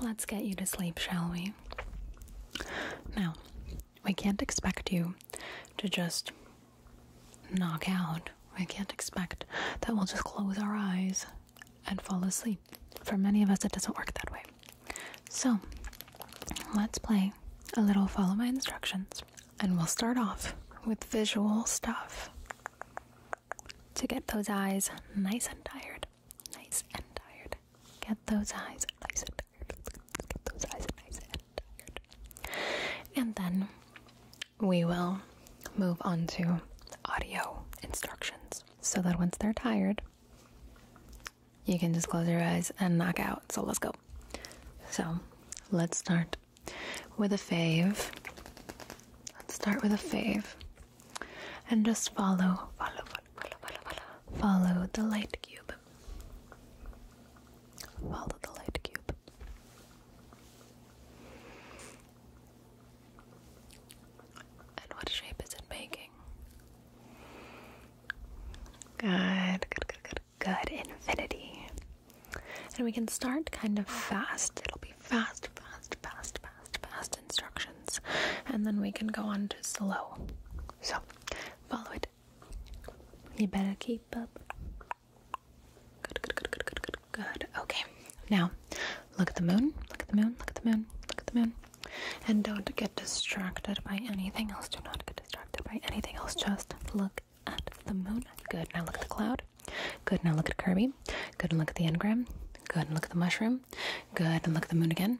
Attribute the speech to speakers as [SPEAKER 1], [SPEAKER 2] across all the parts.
[SPEAKER 1] Let's get you to sleep, shall we? Now, we can't expect you to just knock out. We can't expect that we'll just close our eyes and fall asleep. For many of us, it doesn't work that way. So, let's play a little follow my instructions, and we'll start off with visual stuff to get those eyes nice and tired nice and tired. Get those eyes nice and tired. Get those eyes nice and tired. And then we will move on to audio instructions so that once they're tired, you can just close your eyes and knock out. So let's go. So let's start with a fave. Let's start with a fave and just follow, follow, follow, Follow the light cube. Follow the light cube. And what shape is it making? Good, good, good, good, good. Infinity. And we can start kind of fast. It'll be fast, fast, fast, fast fast, fast instructions, and then we can go on to slow. So, follow it. You better keep up. Good, good, good, good, good, good, good. Okay, now look at the moon, look at the moon, look at the moon, look at the moon. And don't get distracted by anything else. Do not get distracted by anything else. Just look at the moon. Good. Now look at the cloud. Good. Now look at Kirby. Good. And look at the engram. Good. And look at the mushroom. Good. And look at the moon again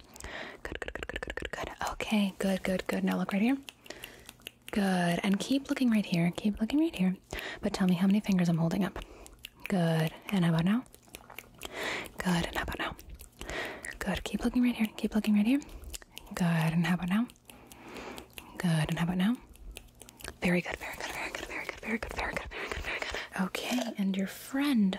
[SPEAKER 1] Good, good, good, good, good, good, good. Okay, good, good, good. Now look right here. Good. And keep looking right here. Keep looking right here. But tell me how many fingers I'm holding up. Good. And how about now? Good. And how about now? Good. Keep looking right here. Keep looking right here. Good. And how about now? Good. And how about now? Very good. Very good. Very good. Very good. Very good. Very good. Very good. Very good. Okay. And your friend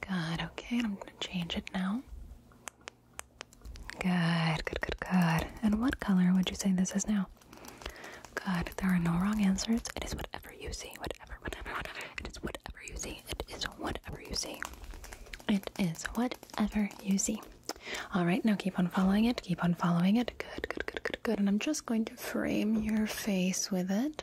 [SPEAKER 1] Good, okay, I'm gonna change it now. Good, good, good, good. And what color would you say this is now? Good, there are no wrong answers. It is whatever you see, whatever, whatever, whatever. It is whatever you see. It is whatever you see. It is whatever you see. All right, now keep on following it. Keep on following it. Good, good, good, good, good. And I'm just going to frame your face with it.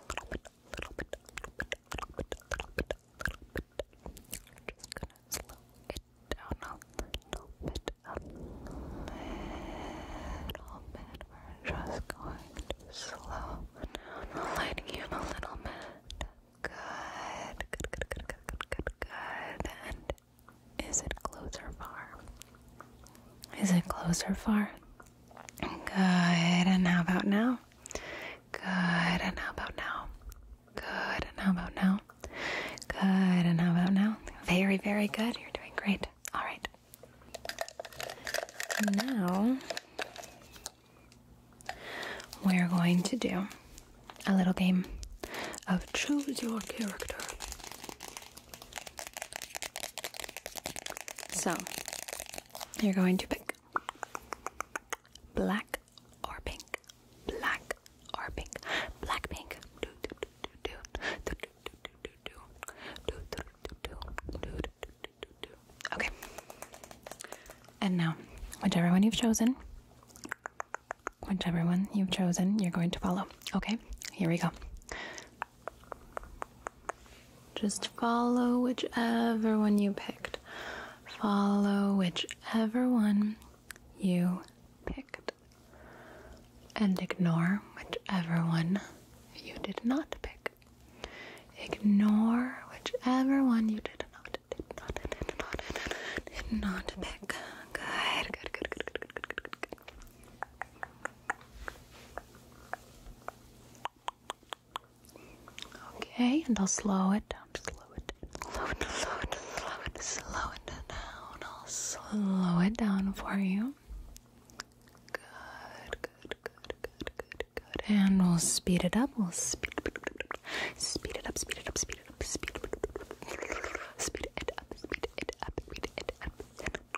[SPEAKER 1] little bit, little bit, little bit, little bit, little bit, little bit. I'm just gonna slow it down a little bit, a little bit. We're just going to slow lighting you a little bit. Good, good, good, good, good, good, good, And is it closer, far? Is it closer, far? Good. And how about now? Good. And how about now? Good. And how about now? Good. And how about now? Very, very good. You're doing great. All right. Now, we're going to do a little game of choose your character. So, you're going to pick black or pink, black or pink, black pink. Okay. And now, whichever one you've chosen, whichever one you've chosen, you're going to follow. Okay? Here we go. Just follow whichever one you picked. Follow whichever one you picked. And ignore whichever one you did not pick. Ignore whichever one you did not, did not, did not, did not pick. Good, good, good, good, good, good, good, good, Okay, and I'll slow it down. Slow it down. Slow it down. Slow it down. Slow it down. I'll slow it down for you. Good, good, good, good, good, good. And we'll speed it up. We'll speed Speed it up, speed it up, speed it up, speed it up. Speed it up, speed it up, speed it up, speed it up.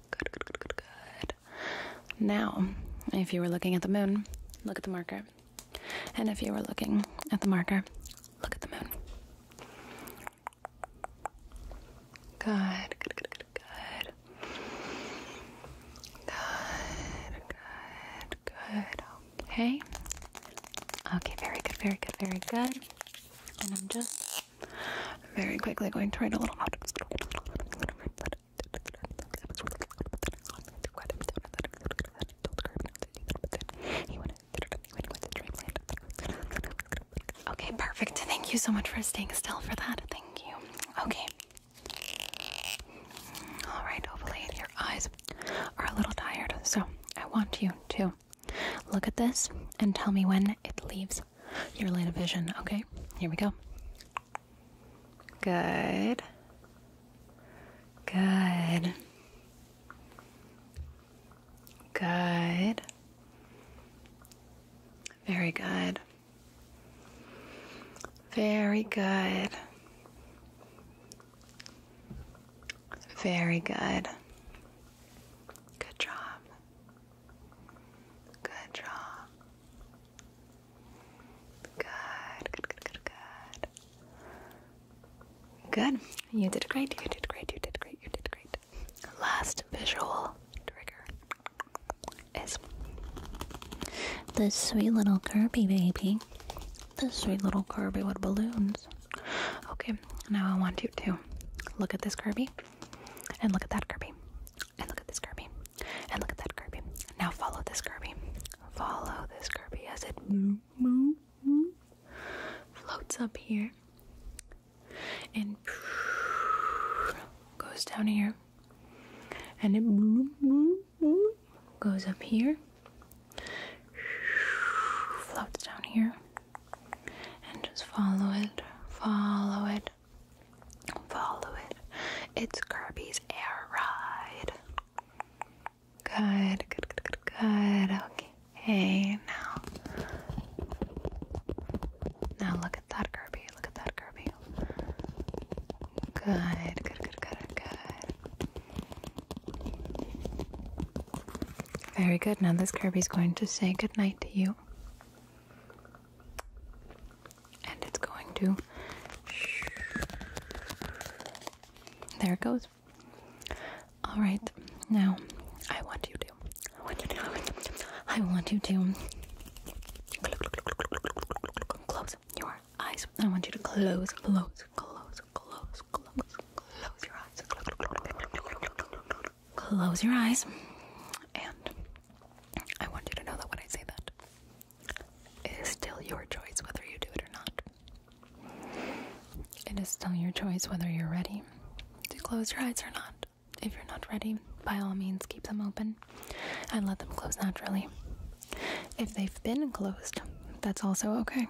[SPEAKER 1] Good, good, good, good, good. Now, if you were looking at the moon, look at the marker. And if you were looking at the marker, look at the moon. Good, good, good, good, good. Good, good, Okay. Okay, very good, very good, very good. And I'm just I'm very quickly going to write a little note. Okay, perfect. Thank you so much for staying still for that. Thank you. Okay. All right, hopefully your eyes are a little tired. So I want you to look at this and tell me when it leaves your line of vision. Okay, here we go. Good. Good. Good. Very good. Very good. Very good. Good job. Good job. Good, good, good, good, good. Good. You did great. You did great. You did great. You did great. Last visual trigger is this sweet little Kirby baby. This sweet little Kirby with balloons. Okay, now I want you to look at this Kirby. And look at that Kirby. And look at this Kirby. And look at that Kirby. Now follow this Kirby. Follow this Kirby as it floats up here and goes down here. And it goes up here, floats down here, and just follow it, follow it, Follow it. It's Kirby's air ride. Good, good, good, good, good. Okay, now. Now look at that Kirby. Look at that Kirby. Good, good, good, good, good. Very good. Now this Kirby's going to say good night to you. And it's going to. There it goes. All right, now I want you to. I want you to. I want you to. Close your eyes. I want you to close, close, close, close, close, close your eyes. Close your eyes. And I want you to know that when I say that, it is still your choice whether you do it or not. It is still your choice whether you're ready to close your eyes or not. If you're not ready, by all means, keep them open and let them close naturally. If they've been closed, that's also okay.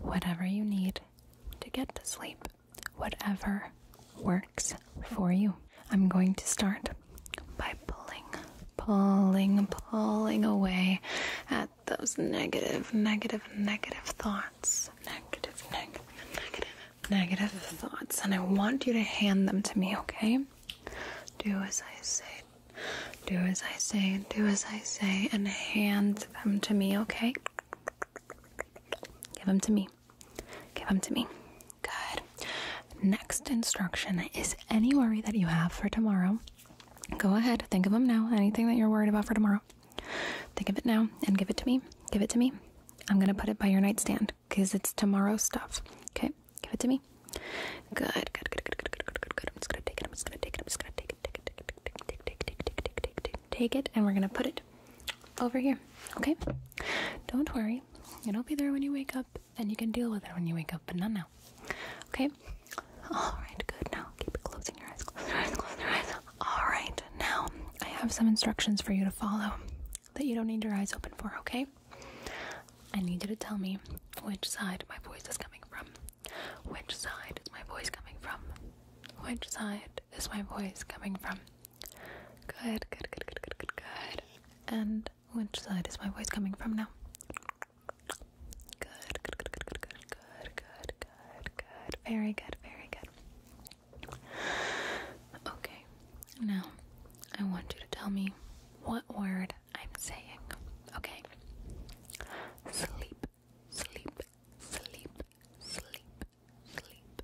[SPEAKER 1] Whatever you need to get to sleep whatever works for you. I'm going to start by pulling, pulling, pulling away at those negative, negative, negative thoughts. Negative, negative, negative, negative thoughts. And I want you to hand them to me, okay? Do as I say. Do as I say, do as I say, and hand them to me, okay? Give them to me me. Give them to me. Good. Next instruction is any worry that you have for tomorrow. Go ahead, think of them now. Anything that you're worried about for tomorrow. Think of it now and give it to me. Give it to me. I'm going to put it by your nightstand because it's tomorrow stuff. Okay, give it to me. Good, good, good, good, good, good, good, good, good. I'm just going to take it. I'm just going to take it. I'm just going to take it. Take it, take it, take it, take it, take it, take it, take it, take it, take it, and we're going to put it over here. Okay? Don't worry. you will be there when you wake up, and you can deal with it when you wake up, but not now. Okay? Alright, good. Now keep closing your eyes, close your eyes, close your eyes. Alright, now I have some instructions for you to follow that you don't need your eyes open for, okay? I need you to tell me which side my voice is coming from. Which side is my voice coming from? Which side part is my voice coming from? Good, good, good, good, good, good, good. And which side is my voice coming from now? Good, good, good, good, good, good, good, good, good, good. Very good, very good. Okay, now I want you to tell me what word I'm saying. Okay. Sleep, sleep, sleep, sleep, sleep,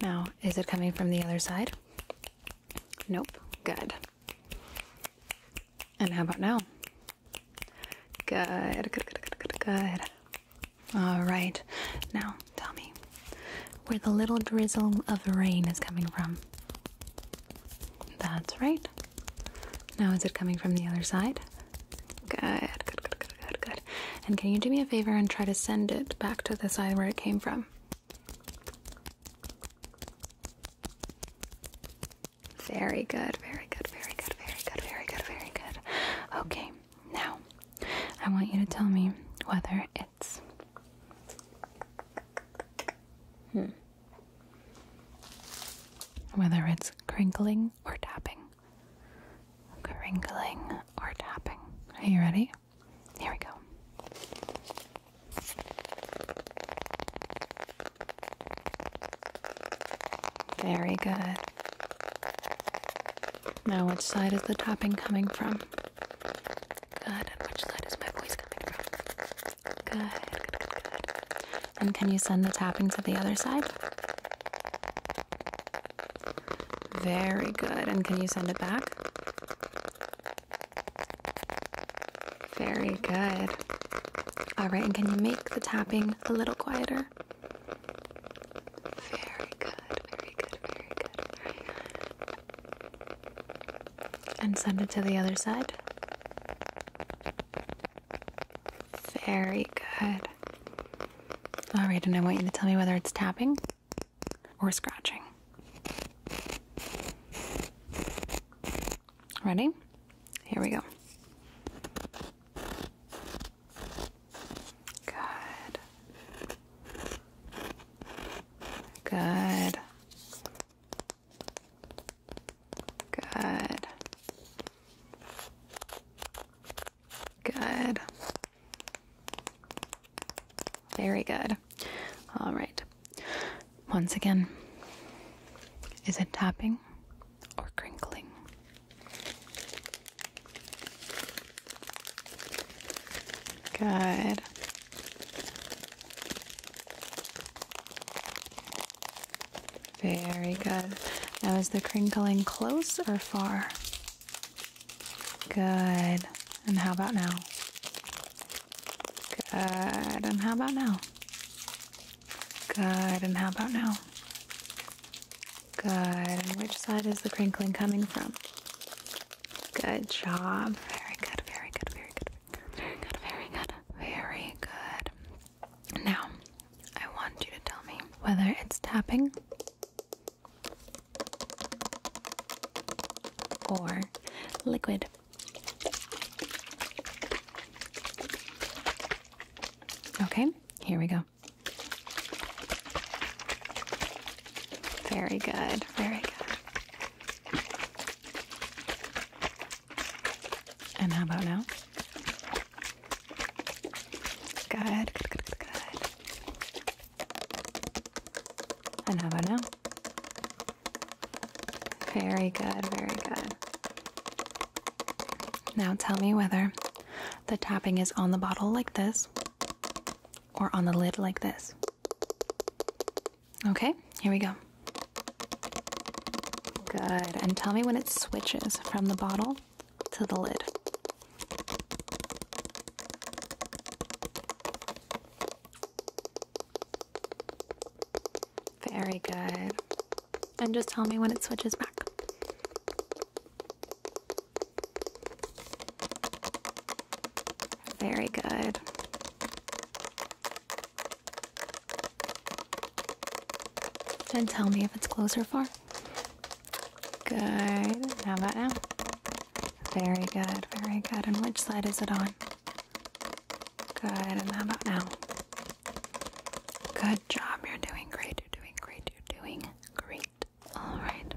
[SPEAKER 1] Now, is it coming from the other side? Nope. Good. And how about now? Good, good, good, good, good, All right. Now, tell me where the little drizzle of rain is coming from. That's right. Now, is it coming from the other side? Good, good, good, good, good, good. And can you do me a favor and try to send it back to the side where it came from? Very good, very good, very good, very good, very good, very good. Okay, now I want you to tell me whether it's. Hmm. Whether it's crinkling or tapping. Crinkling or tapping. Are you ready? Here we go. Very good. Now, which side is the topping coming from? Good. which side is my voice coming from? Good, good, good, And can you send the topping to the other side? Very good. And can you send it back? Very good. All right, and can you make the tapping a little quieter? Very good, very good, very good, very good. And send it to the other side. Very good. All right, and I want you to tell me whether it's tapping or scratching. Ready? Here we go. Good. Good. Good. Good. Very good. All right. Once again, is it tapping or crinkling? Good. Very good. Now, is the crinkling close or far? Good. And how about now? Good. And how about now? Good. And how about now? Good. And which side is the crinkling coming from? Good job. Very good. Very good. Very good. Very good. Very good. Very good. Now, I want you to tell me whether it's tapping or liquid. Okay, here we go. Very good, very good. And how about now? Good, good, good, and how about now? Very good, very good. Now tell me whether the tapping is on the bottle like this or on the lid like this. Okay, here we go. Good. And tell me when it switches from the bottle to the lid. Very good. And just tell me when it switches back. Very good. And tell me if it's closer, far. Good. How about now? Very good, very good. And which side is it on? Good. And how about now? Good job. You're doing great. You're doing great. You're doing great. All right.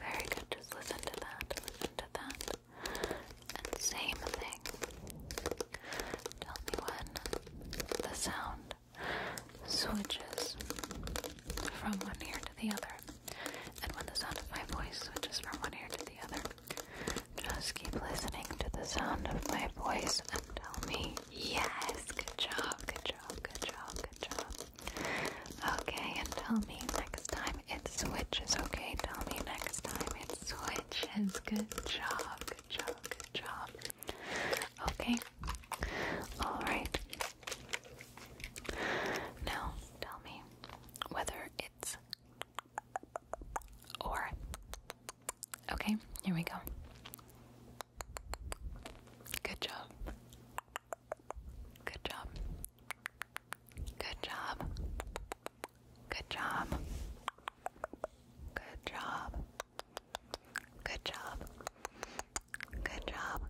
[SPEAKER 1] Very good. Just listen to that. Listen to that. same thing. Tell me when the sound switches from one ear to the other. And when the sound of my voice switches from one ear to the other, just keep listening to the sound of my voice and tell me, yes, good job, good job, good job, good job. Okay, and tell me next time it switches, okay? Tell me next time it switches. Good job, good job, good job. Okay, Alright. Now tell me whether it's or. Okay, here we go. Good job. Good job. Good job. Good job. Good job. Good job. Good job.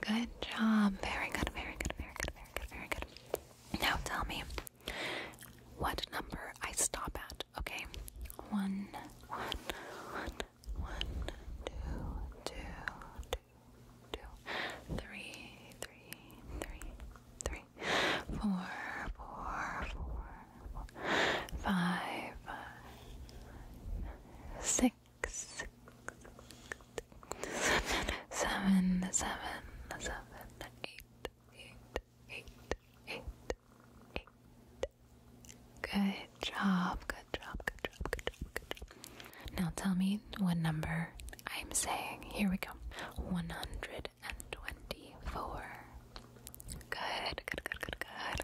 [SPEAKER 1] Good job. Very good, very good, very good, very good, very good. Now tell me what number I stop at, okay? One, one, one, one, two, two, two, two, three, three, three, three, four, four, four, five, six, seven, seven, seven, eight, eight, eight, eight, eight. Good job, good job, good job, good job, good job. Now tell me what number I'm saying. Here we go. 124. Good, good, good, good, good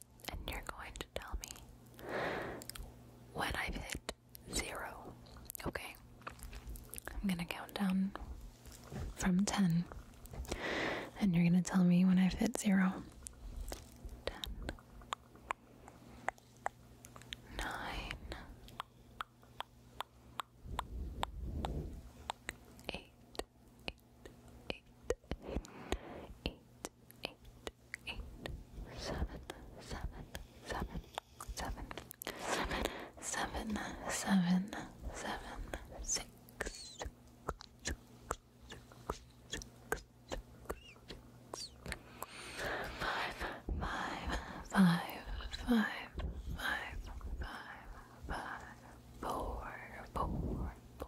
[SPEAKER 1] and you're going to tell me when I've hit zero. Okay? I'm gonna count down from 10, and you're gonna tell me when I've hit zero. 10, 8, eight, eight, eight, eight, eight, seven, seven, seven, seven, seven, seven, seven, seven, six, six, six, six, six, six, five, five, five, five, five, five, five, four, four, four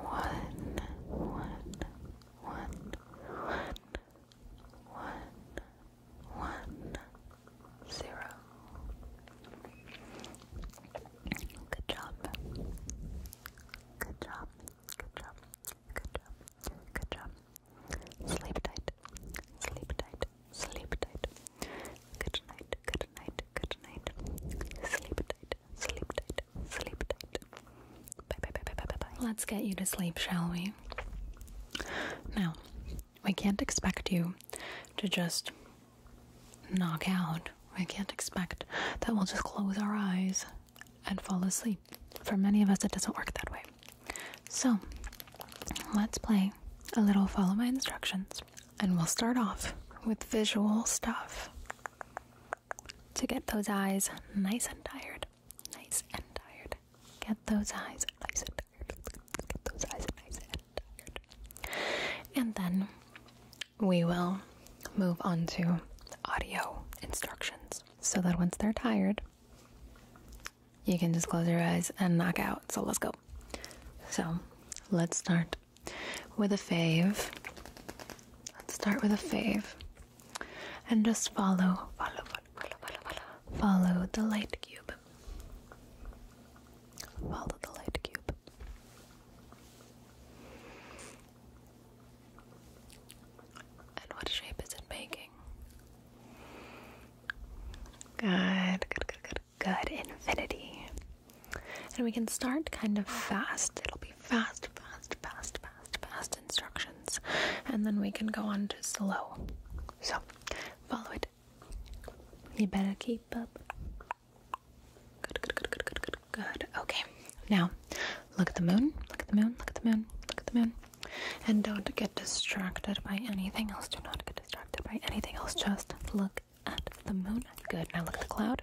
[SPEAKER 1] one, one, one, one, one, one, zero. Good job. Good job. Good job. Good job. Good job. Sleep tight. Sleep tight. Sleep tight. Good night, good night, good night. Sleep tight, sleep tight, sleep tight. Bye bye bye bye bye bye. bye. Let's get you to sleep, shall we? Now, we can't expect you to just knock out. We can't expect that we'll just close our eyes and fall asleep. For many of us, it doesn't work that way. So, let's play a little follow my instructions. And we'll start off with visual stuff to get those eyes nice and tired. Nice and tired. Get those eyes nice and tired. Get those eyes nice and tired. And then we will move on to audio instructions so that once they're tired, you can just close your eyes and knock out. So let's go. So let's start with a fave. Let's start with a fave. And just follow, follow, follow, follow, follow, follow, follow the light cube. Follow the light cube. And what shape is it making? Good, good, good, good, good infinity. And we can start kind of fast. It'll be fast, fast, fast, fast, fast instructions. And then we can go on to slow. So follow it. You better keep up. Good, good, good, good, good, good, good. Okay. Now look at the moon. Look at the moon. Look at the moon. Look at the moon. And don't get distracted by anything else. Do not get distracted by anything else. Just look at the moon. Good. Now look at the cloud.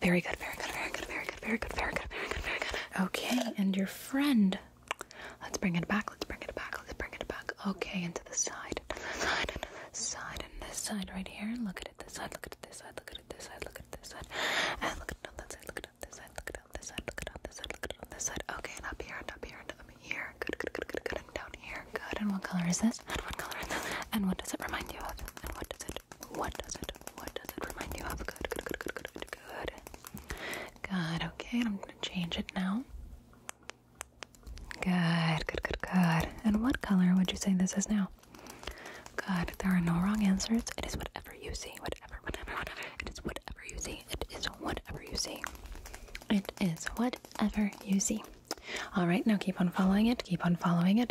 [SPEAKER 1] Very good, very good, very good, very good, very good, very good, very good, very good. Okay, and your friend. Let's bring it back, let's bring it back, let's bring it back. Okay, and to the side, to the side, and this side, and this side right here. Look at it this side, look at it this side, look at it this side, look at it this side. And look at it on that side, look at it on this side, look at it on this side, look at it on this side, look at it on this side. Okay, and up here, and up here, and up here. Good, good, good, good, good, and down here. Good. And what color is this? And what color is this? And what does it remind you of? And what does it what does it what does it remind you of? Good, good, good, good, good, good, good. Good, okay, I'm gonna change it now. Good, good, good, good. And what color would you say this is now? Good, there are no wrong answers. It is whatever you see. Whatever, whatever, whatever. It is whatever you see. It is whatever you see. It is whatever you see. All right, now keep on following it. Keep on following it.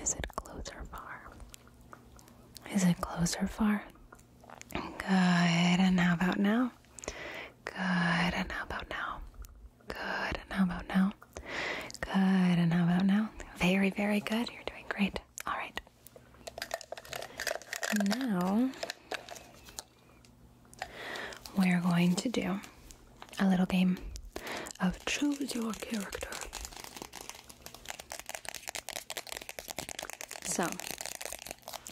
[SPEAKER 1] is it closer, or far? Is it closer, far? Good. And how about now? Good. And how about now? Good. And how about now? Good. And how about now? Very, very good. You're doing great. All right. Now, we're going to do a little game of choose your character. So,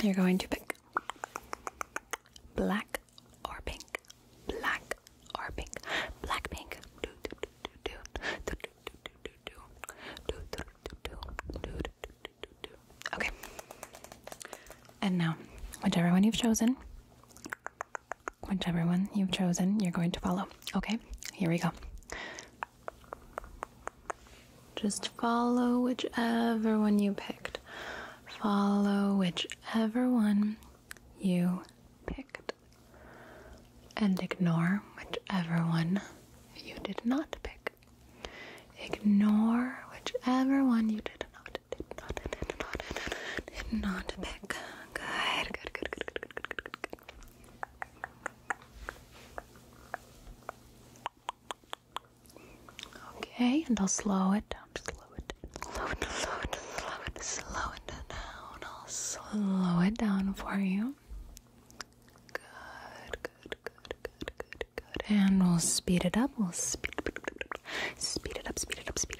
[SPEAKER 1] you're going to pick black or pink, black or pink, black pink. Okay. And now, whichever one you've chosen, Whichever one you've chosen, you're going to follow. Okay, here we go. Just follow whichever one you picked. Follow whichever one you picked. And ignore whichever one you did not pick. Ignore whichever one you did not, did not, did not, did not pick. Good, Okay, and I'll slow it down. Slow it, slow slow it, slow slow it down. I'll slow it down for you. Good, good, good, good, good, good. And we'll speed it up. We'll speed, it up, speed it up, speed it up. Speed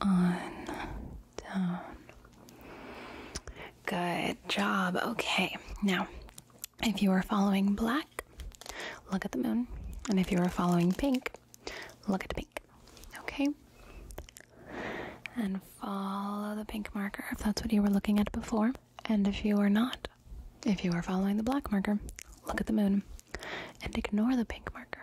[SPEAKER 1] on down. Good job. Okay, now if you are following black, look at the moon, and if you are following pink, look at the pink. Okay, and follow the pink marker if that's what you were looking at before, and if you are not, if you are following the black marker, look at the moon and ignore the pink marker.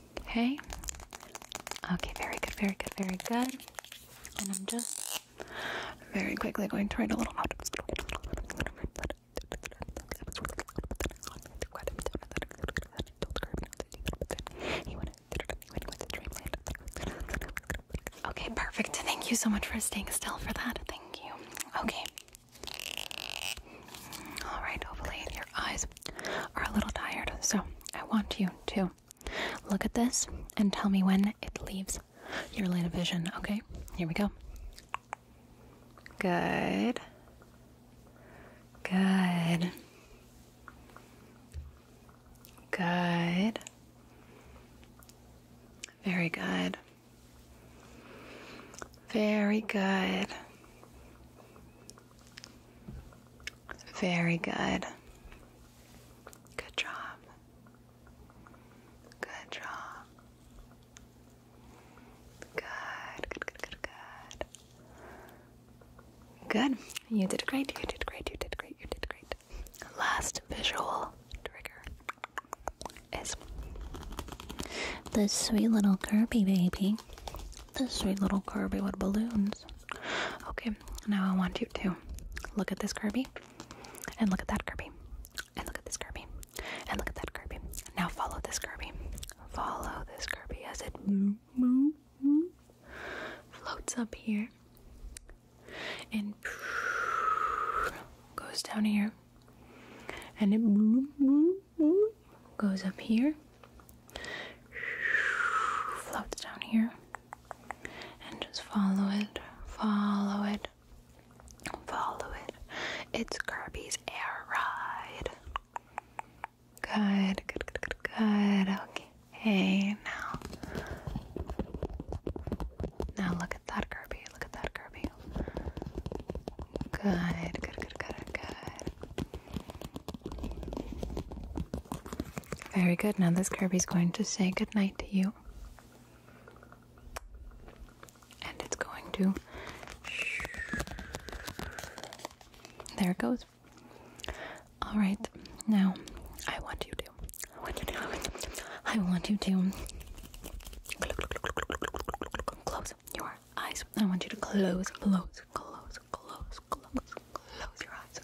[SPEAKER 1] Okay. Okay, very good, very good, very good. And I'm just very quickly going to write a little note. Okay, perfect. Thank you so much for staying still for that. Thank you. Okay. All right, hopefully your eyes are a little tired, so I want you to look at this and tell me when it leaves your line of vision. Okay, here we go. Good. Good. Good. Very good. Very good. Very good. Good job. Good job. Good, good, good, good, good. You did great. You did great. You did great. You did great. Last visual trigger is this sweet little Kirby baby this sweet little Kirby with balloons. Okay, now I want you to look at this Kirby, and look at that Kirby, and look at this Kirby, and look at that Kirby. Now follow this Kirby. Follow this Kirby as it floats up here and goes down here and it goes up here, floats down here, and just follow it, follow it, follow it. It's Kirby's air ride. Good, good, good, good, Okay, now. Now look at that Kirby, look at that Kirby. Good, good, good, good, good. Very good. Now this Kirby's going to say goodnight to you. And it's going to. There it goes. All right. Now, I want you to. I want you to. I want you to. Close your eyes. I want you to close, close, close, close, close, close your eyes,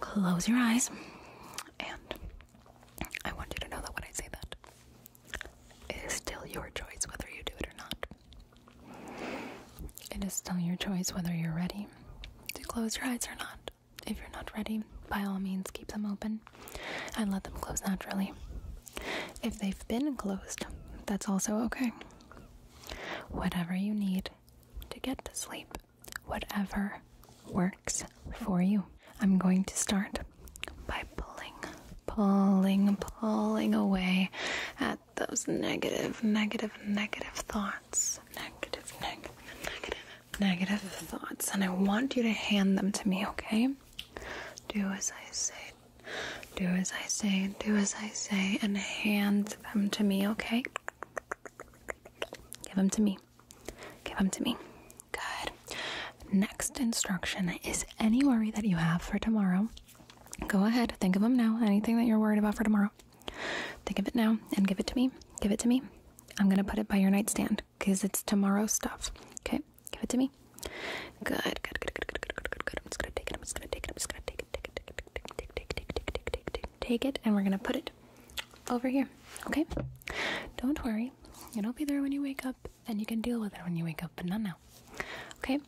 [SPEAKER 1] close your eyes, and I want you to know that when I say that, it is still your choice whether you do it or not. It is still your choice whether you're ready to close your eyes or not. If you're not ready, by all means, keep them open and let them close naturally. If they've been closed, that's also okay. Whatever you need to get to sleep, whatever works for you. I'm going to start by pulling, pulling, pulling away at those negative, negative, negative thoughts. Negative, negative, negative, negative thoughts. And I want you to hand them to me, okay? Do as I say, do as I say, do as I say, and hand them to me, okay? Give them to me. Give them to me. Good. Next instruction is any worry that you have for tomorrow. Go ahead, think of them now. Anything that you're worried about for tomorrow. Think of it now and give it to me. Give it to me. I'm going to put it by your nightstand because it's tomorrow stuff. Okay? Give it to me. Good, good, good, good, good, good, good, good, good. I'm just going to take it. I'm just going to take it. I'm just going to take it, take it, take it, take, it, and we're gonna put it over here. Okay? Don't worry. It'll be there when you wake up, and you can deal with it when you wake up, but not now. Okay?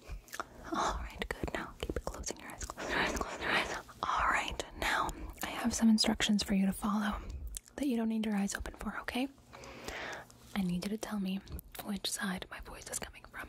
[SPEAKER 1] Alright, good. Now keep closing your eyes, close your eyes, close your eyes. Alright, now I have some instructions for you to follow that you don't need your eyes open for, okay? I need you to tell me which side my voice is coming from.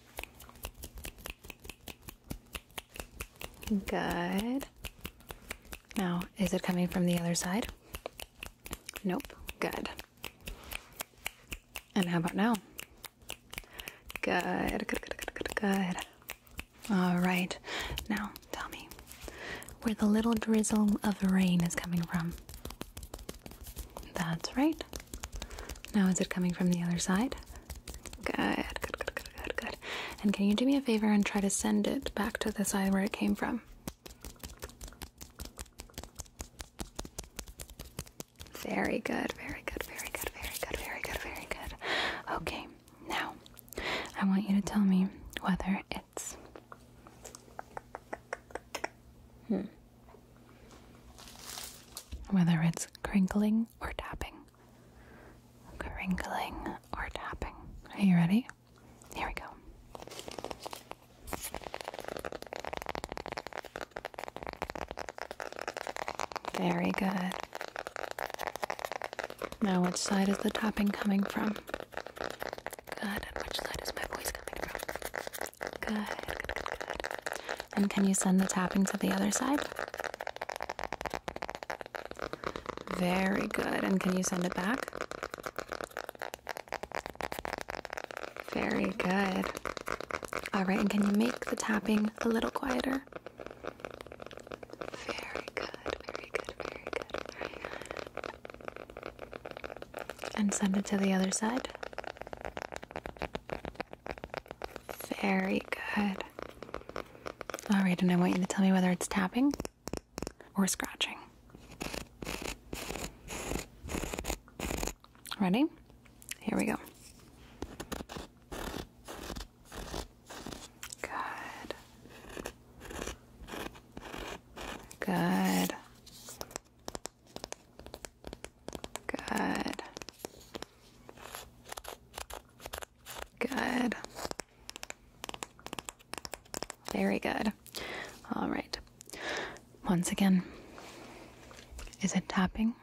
[SPEAKER 1] Good. Now, is it coming from the other side? Nope. Good. And how about now? Good. Good, good, good, good, All right. Now, tell me where the little drizzle of rain is coming from. That's right. Now, is it coming from the other side? Good, good, good, good, good, good. And can you do me a favor and try to send it back to the side where it came from? Very good, very good, very good, very good, very good, very good. Okay, now I want you to tell me whether it's. Hmm. Whether it's crinkling or tapping. Crinkling or tapping. Are you ready? Here we go. Very good. Now, which side is the tapping coming from? Good. which side is my voice coming from? Good. Good. good. And can you send the tapping to the other side? Very good. And can you send it back? Very good. All right, and can you make the tapping a little quieter? Very good, very good, very good, very good. And send it to the other side. Very good. All right, and I want you to tell me whether it's tapping or scratching. Ready? Here we go. Good. Good. Good. Good. Very good. All right. Once again, is it tapping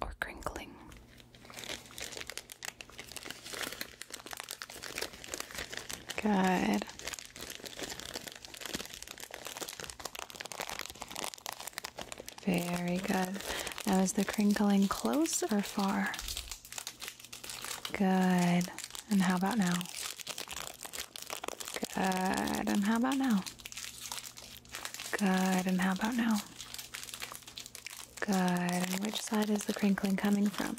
[SPEAKER 1] or crinkling? Good. Very good. Now, is the crinkling close or far? Good. And how about now? Good. And how about now? Good. And how about now? Good. And which side is the crinkling coming from?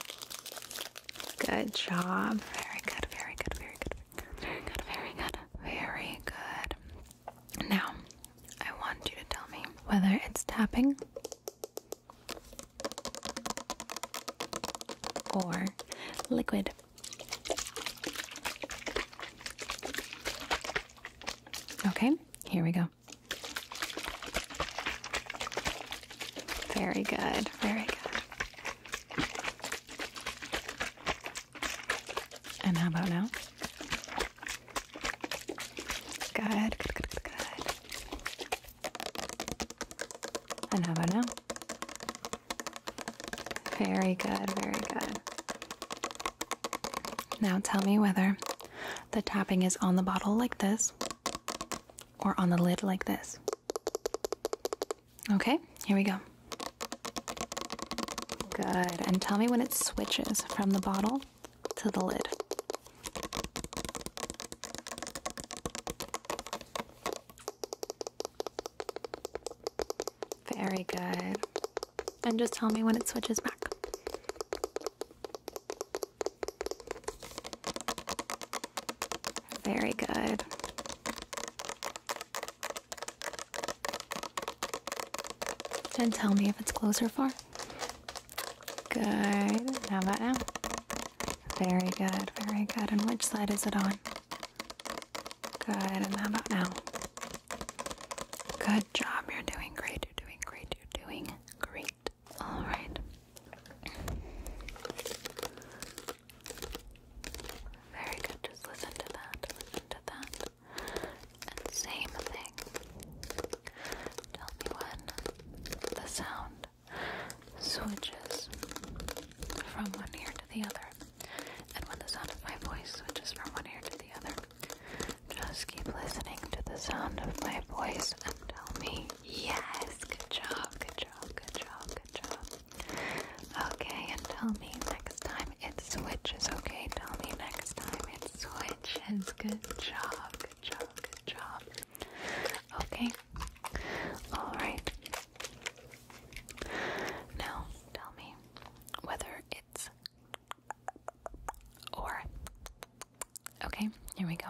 [SPEAKER 1] Good job. Very good. Very good. Very good. Very good. Very good. Very good. Now, I want you to tell me whether it's tapping or liquid. Okay, here we go. Very good, very good. And how about now? Good, good, good, good, And how about now? Very good, very good. Now tell me whether the tapping is on the bottle like this or on the lid like this. Okay, here we go. Good. And tell me when it switches from the bottle to the lid. Very good. And just tell me when it switches back. Very good. And tell me if it's close or far. Good. How about now? Very good, very good. And which side is it on? Good. And how about now? Good job. You're doing great. You're doing great. You're doing great. All right. Very good. Just listen to that. Listen to that. And same thing. Tell me when the sound switches from one ear to the other. And when the sound of my voice switches from one ear to the other. Just keep listening to the sound of my voice and tell me, yes, good job, good job, good job, good job. Okay, and tell me next time it switches, okay? Tell me next time it switches. Good job, good job, good job. Okay, alright. Now tell me whether it's or. Okay, here we go.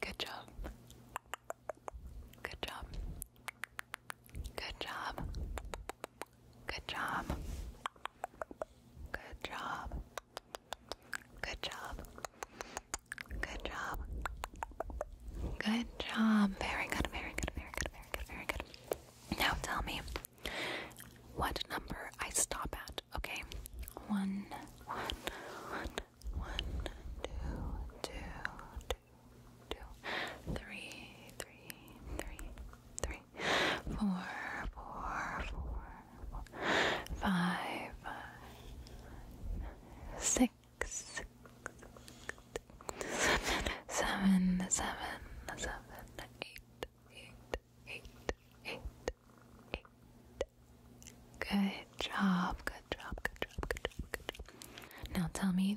[SPEAKER 1] Good job. Good job. Good job. Good job. Good job. Good job. Good job. Good job. Very good, very good, very good, very good, very good. Now tell me what number I stop at, okay? One, one, one, one, two, two, two, two, three, three, three, three, three, four, four, four, four five, five six, six, seven, seven, seven, eight, eight, eight, eight, eight. Good job, good job, good job, good job, good job. Now tell me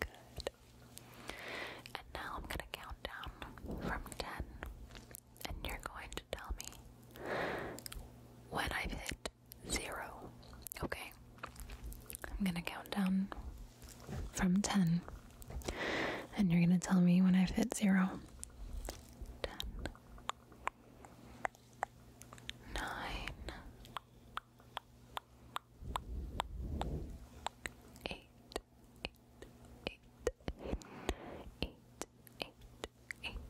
[SPEAKER 1] Good. And now I'm gonna count down from ten, and you're going to tell me when I've hit zero. Okay. I'm gonna count down from ten, and you're gonna tell me when I've hit zero. Ten. Nine, eight, eight, eight, eight, eight, eight,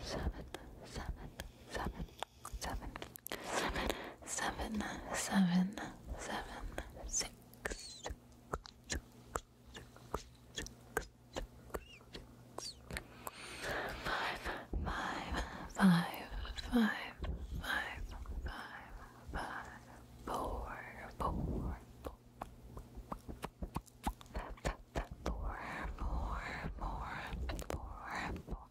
[SPEAKER 1] seven, seven, seven, seven, seven, seven, seven, seven, six, six, six, six, six, six, six, five five, five, five, five, five, five, four, four, four. Four, four, four, four,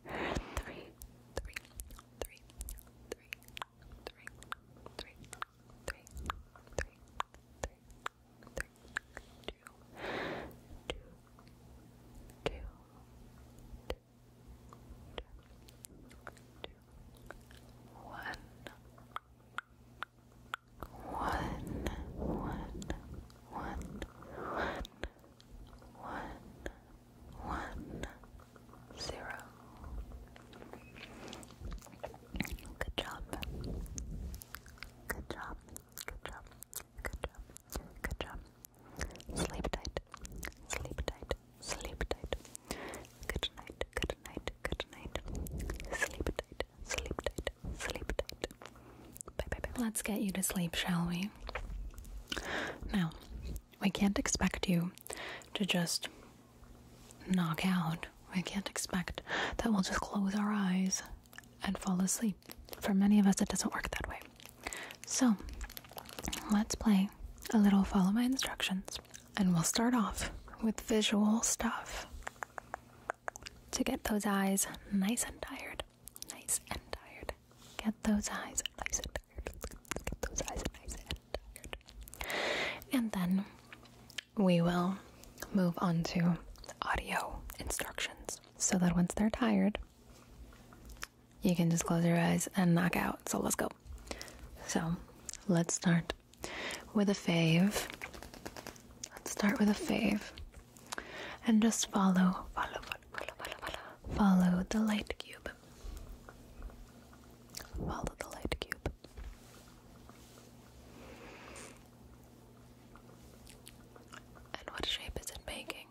[SPEAKER 1] two, Good job. Good job. Good job. Good job. Good job. Sleep tight. Sleep tight. Sleep tight. Good night. Good night. Good night. Sleep tight. Sleep tight. Sleep tight. Bye bye bye. Let's get you to sleep, shall we? Now, we can't expect you to just knock out. We can't expect that we'll just close our eyes and fall asleep. For many of us, it doesn't work that way. So let's play a little follow my instructions, and we'll start off with visual stuff to get those eyes nice and tired. Nice and tired. Get those eyes nice and tired. Get those eyes nice and tired. And then we will move on to audio instructions so that once they're tired, you can just close your eyes and knock out. So let's go. So let's start with a fave. Let's start with a fave. And just follow, follow, follow, follow, follow, follow, the light cube. Follow the light cube. And what shape is it making?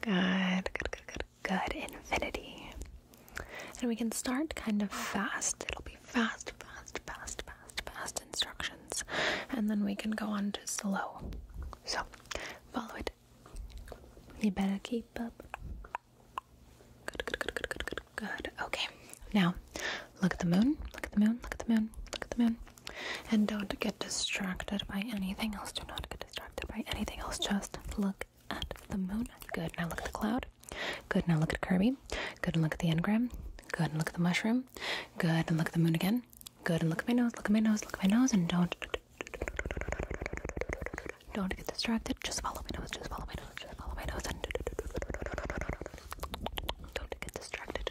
[SPEAKER 1] Good, good, good, good, good. Infinity. And we can start kind of fast. It'll be fast, fast, fast, fast, fast instructions. And then we can go on to slow. So follow it. You better keep up. Good, good, good, good, good, good, good. Okay. Now look at the moon. Look at the moon. Look at the moon. Look at the moon. And don't get distracted by anything else. Do not get distracted by anything else. Just look at the moon. Good. Now look at the cloud. Good. Now look at Kirby. Good. And look at the engram. Good. And look at the mushroom. Good. And look at the moon again. Good. And look at my nose. Look at my nose. Look at my nose. And don't. Don't get distracted. Just follow my nose. Just follow my nose. Just follow my nose. And don't get distracted.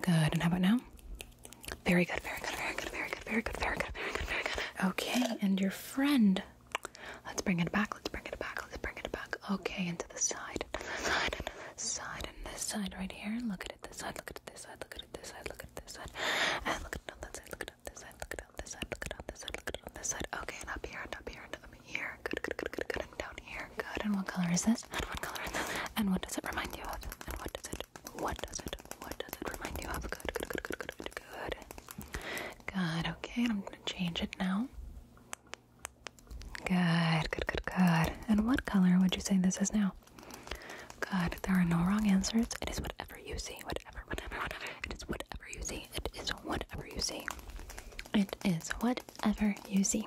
[SPEAKER 1] Good. And how about now? Very good, very good, very good, very good, very good, very good, very good, very good. Okay, and your friend. Let's bring it back, let's bring it back, let's bring it back. Okay, and to the side, to the side, and this side, right here. Look at it this side, look at it this side, look at it this side, look at it this side. And look at it side, look at this side, look at this side, look at this side, look at this side. Okay, and up here, and up here, and up here. Good, good, good, good, good. And down here. Good. And what color is this? And what color is this? And what does it remind you of? And what does it? What does it? What does it remind you of? Good, good, good, good, good, good. Good. Okay. I'm gonna change it now. Good, good, good, good. And what color would you say this is now? Good. There are no wrong answers. It is whatever you see. Whatever, whatever, whatever. It is whatever you see. It is whatever you see. It is whatever you see.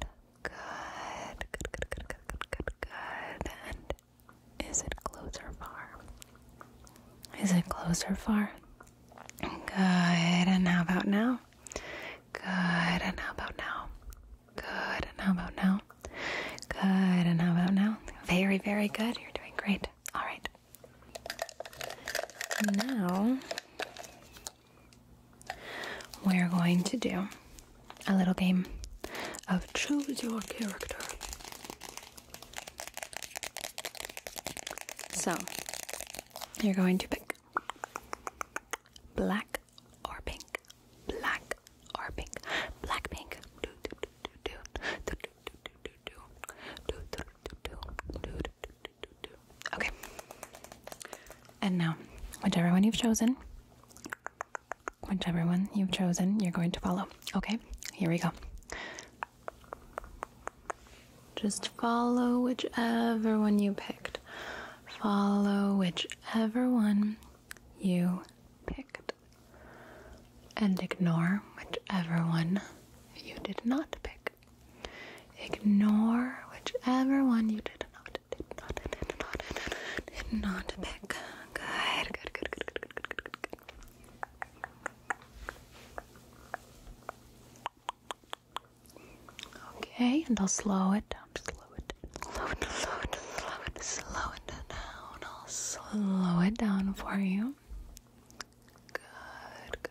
[SPEAKER 1] Good. Good, good, good, good, good, good, And is it closer far? Is it closer far? Good. And how about now? Good. And how about now? Good. And how about now? Good. And how about now? Very, very good. You're doing great. All right. Now we're going to do a little game of choose your character. So, you're going to pick black or pink, black or pink, black pink. Do do do do do do do do do do do do do do do Okay. And now, whichever one you've chosen, whichever one you've chosen, you're going to follow. Okay, here we go. Just follow whichever one you picked. Follow whichever one you picked. And ignore whichever one you did not pick. Ignore whichever one you did not, did not, not, not pick. Good, good, good, good, good, good, good, good, good. Okay, and I'll slow it down. Slow it, slow it, slow it, slow it, slow it down. I'll slow it down for you. Good,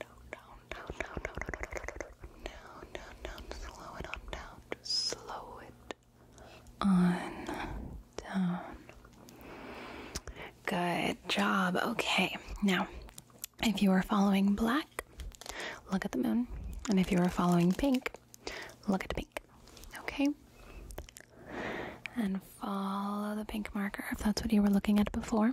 [SPEAKER 1] down, down, down, down, down, down, down, down, slow it on down, just slow it on down. Good job. Okay, now if you are following black, look at the moon, and if you are following pink, look at the pink. Okay, and follow the pink marker if that's what you were looking at before.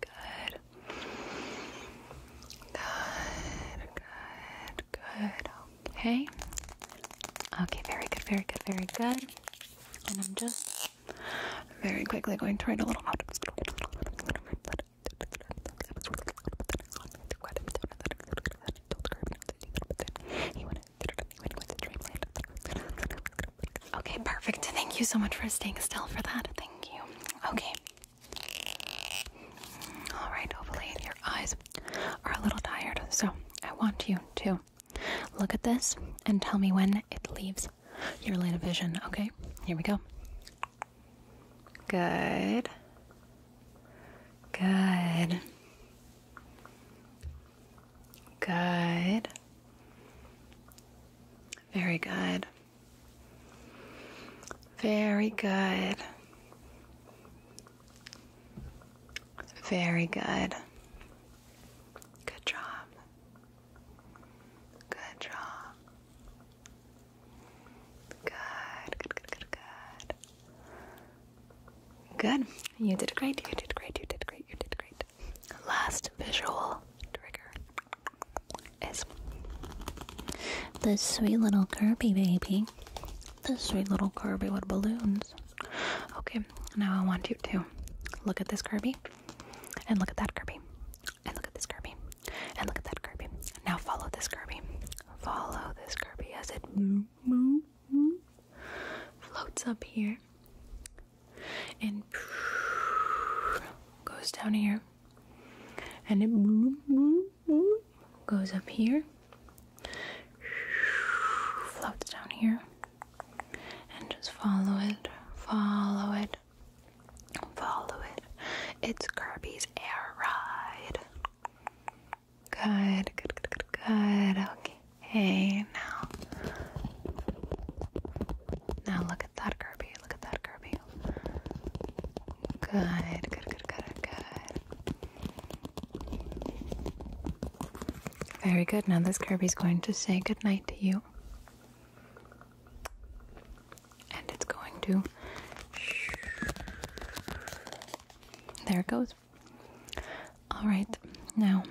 [SPEAKER 1] good. Good, good, good. Okay. Okay, very good, very good, very good. And I'm just very quickly going to write a little Okay, perfect. Thank you so much for staying still for that. Thank you. Okay, Alright, hopefully your eyes are a little tired, so I want you to look at this and tell me when it leaves your line of vision, okay? Here we go. Good. Good. Good. Very good. Very good. Very good. Good job. Good job. Good, good, good, good, good. Good. You did great. You did great. You did great. You did great. Last visual trigger this sweet little Kirby baby. This sweet little Kirby with balloons. Okay, now I want you to look at this Kirby and look at that Kirby and look at this Kirby and look at that Kirby. Now follow this Kirby. Follow this Kirby as it floats up here and goes down here and it goes up here, floats down here, and just follow it, follow it, follow it. It's Kirby's air ride. Good, good, good, good, good. Okay, hey, now. Now look at that, Kirby. Look at that, Kirby. Good, good, good, good, good. Very good. Now this Kirby's going to say goodnight to you. And it's going to. There it goes. All right. Now,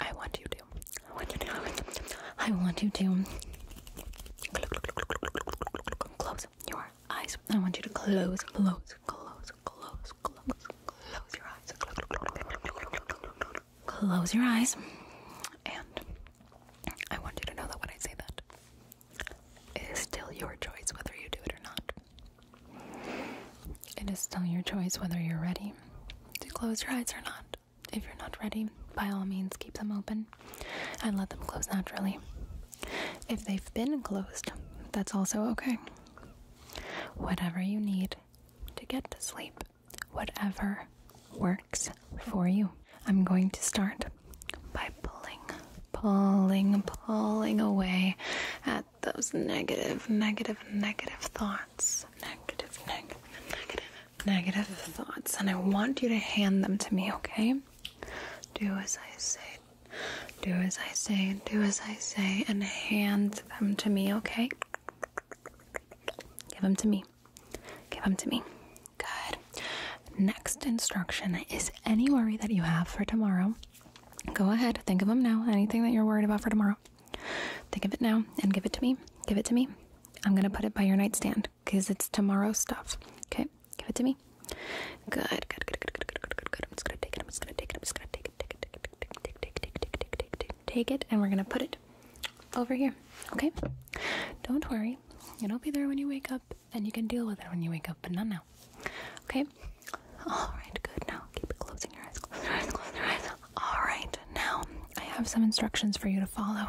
[SPEAKER 1] I want you to. I want you to. I want you to close your eyes. I want you to close, close, close, close, close, close your eyes. Close your eyes. And I want you to know that when I say that, it is still your choice whether you do it or not. It is still your choice whether you're ready to close your eyes or not. If you're not ready, by all means, keep them open and let them close naturally. If they've been closed, that's also okay. Whatever you need to get to sleep, whatever works for you. I'm going to start by pulling, pulling, pulling away at those negative, negative, negative thoughts. Negative, negative, negative, negative thoughts. And I want you to hand them to me, okay? Do as I say. Do as I say. Do as I say. And hand them to me, okay? Give them to me. Give them to me. Good. Next instruction is any worry that you have for tomorrow. Go ahead. Think of them now. Anything that you're worried about for tomorrow. Think of it now and give it to me. Give it to me. I'm going to put it by your nightstand hand because it's tomorrow stuff. Okay, give it to me. Good, good, good, good, good, good, good, good, good. I'm just gonna take it. I'm just gonna take it. I'm just gonna take it. Take it. Take it. Take it. Take it. Take it. Take it. Take it. And we're gonna put it over here. Okay. Don't worry. It'll be there when you wake up, and you can deal with it when you wake up, but not now. Okay. All right. Good. Now keep closing your eyes. Close your eyes. Close your eyes. All right. Now I have some instructions for you to follow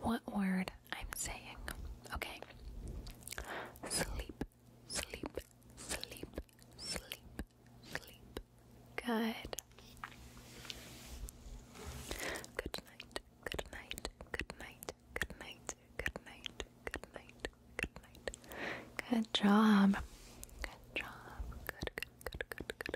[SPEAKER 1] what word I'm saying. Okay. Sleep, sleep, sleep, sleep, sleep. Good. Good night, good night, good night, good night, good night, good night, good night. Good job. Good job. Good, good, good, good,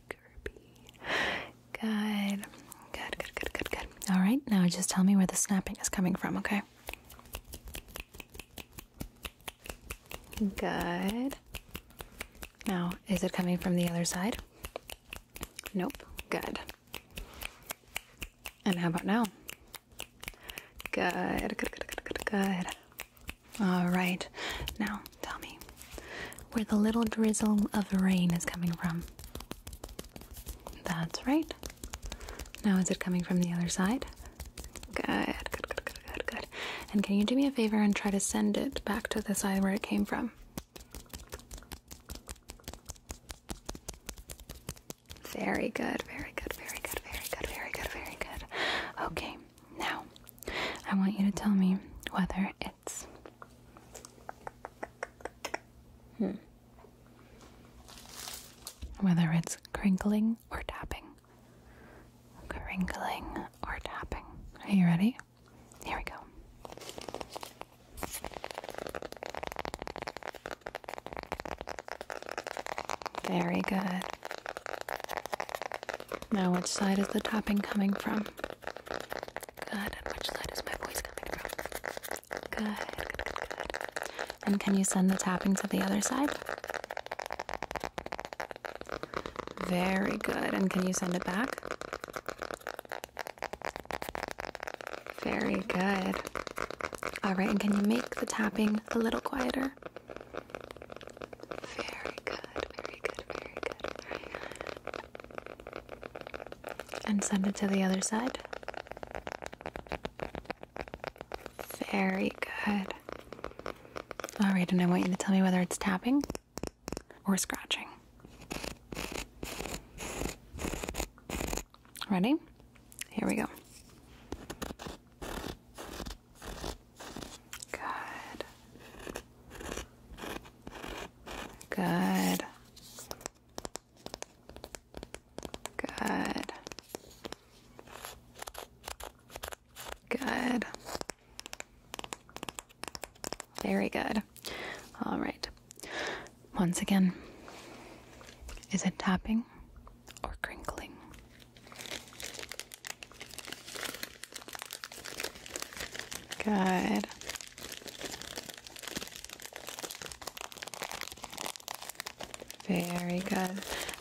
[SPEAKER 1] Kirby, Good. Good, good, good, good, good. All right, now just tell me where the snapping is coming from, okay? Good. Now, is it coming from the other side? Nope. Good. And how about now? good, good, good, good, good. All right, now tell me, where the little drizzle of rain is coming from. That's right. Now, is it coming from the other side? Good, good, good, good, good, good. And can you do me a favor and try to send it back to the side where it came from? Very good, very good, very good, very good, very good, very good. Okay, now I want you to tell me whether it's Hmm. Whether it's crinkling or tapping. Crinkling or tapping. Are you ready? Here we go. Very good. Now, which side is the tapping coming from? Good. And which side is my voice coming good, good, good. And can you send the tapping to the other side? Very good. And can you send it back? Very good. All right. And can you make the tapping a little quieter? Very good, very good, very good. Very good and send it to the other side. Very good. All right, and I want you to tell me whether it's tapping or scratching. Ready? Here we go. Good. Good. Good. Good. Very good. All right. Once again, is it tapping or crinkling? Good. Very good.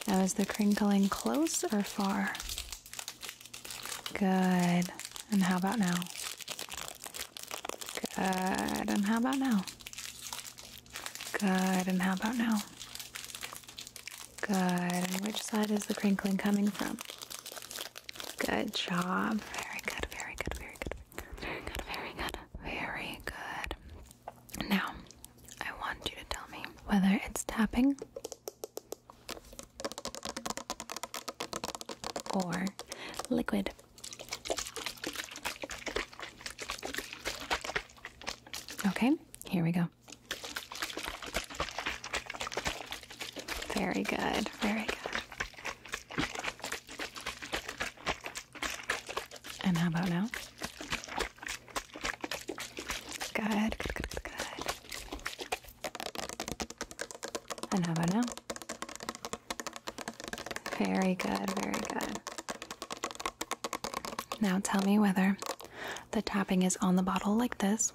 [SPEAKER 1] That was the crinkling close or far? Good. And how about now? Good. And how about now? Good. And how about now? Good. And which side is the crinkling coming from? Good job. Very good, very good, very good, very good, very good, very good. Now, I want you to tell me whether it's tapping or liquid. Okay, here we go. Very good, very good. And how about now? Good, good, good, And how about now? Very good, very good. Now tell me whether the tapping is on the bottle like this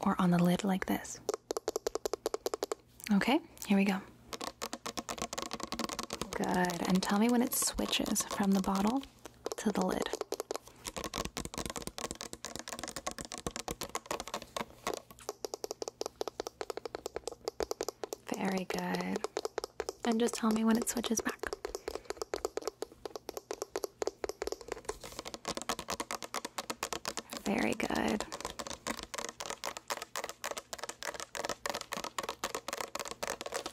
[SPEAKER 1] or on the lid like this. Okay, here we go. Good. And tell me when it switches from the bottle to the lid. Very good. And just tell me when it switches back. Very good.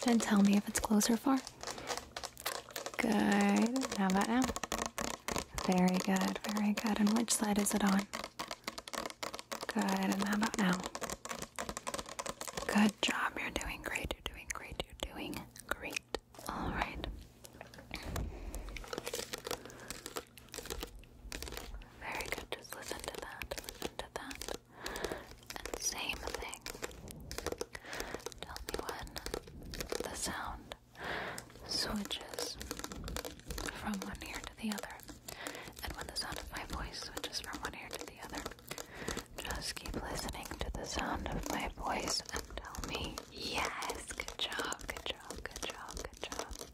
[SPEAKER 1] Then tell me if it's close or far. Good. How about now? Very good, very good. And which side is it on? Good. And how about now? Good job. You're doing great. You're doing great. You're doing great. All right. Very good. Just listen to that. to that. And same thing. Tell me when the sound switches from one ear to the other. And when the sound of my voice switches from one ear to the other. Just keep listening to the sound of my voice and tell me, yes, good job, good job, good job, good job.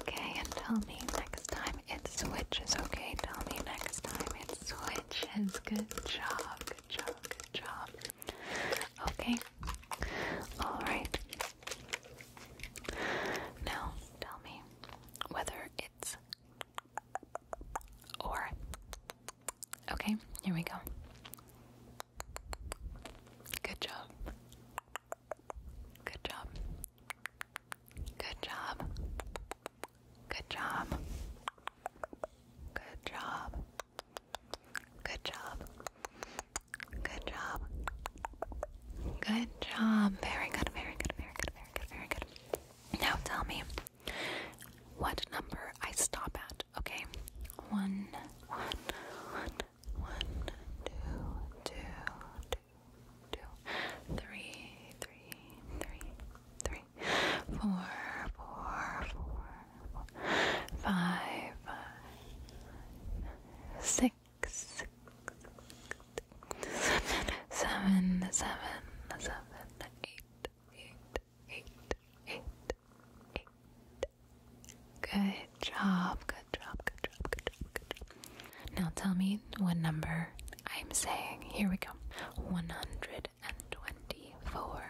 [SPEAKER 1] Okay, and tell me next time it switches, okay? Tell me next time it switches. Good job, good job, good job. Okay, alright. Now tell me whether it's or. Okay, here we go. Good job. Good job. Good job. Good job. Good job. Good job. Good job. Good job. Very good, very good, very good, very good, very good. Now tell me what number I stop at, okay? One, one, one, one, two, two, two, two, three, three, three, three, four, four, four, four, five, five, six, six, seven, seven, seven, seven, eight, eight, eight, eight, eight, Good job, good job, good job, good job, good job. Now tell me what number I'm saying. Here we go. 124.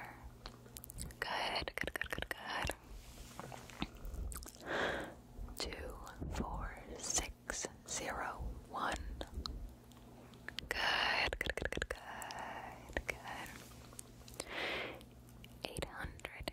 [SPEAKER 1] Good, good, good, good, good. Two, four, six, zero, one. Good, good, good, good, good, good. Eight hundred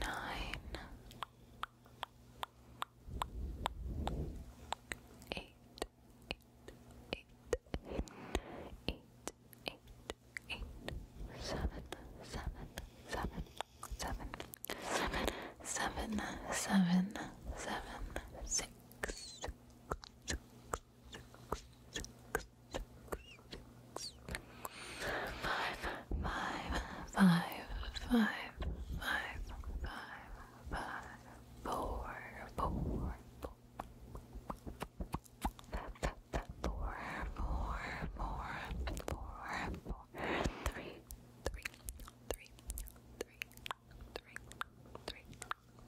[SPEAKER 1] nine, eight, eight, eight, eight, eight, eight, seven, seven, seven, seven, seven, seven, seven, seven, six, six, six, six, six, six, five, five, five, five, five, five, five, four, four, four. Four, four, four, four, four, three, three, three, three, three, three,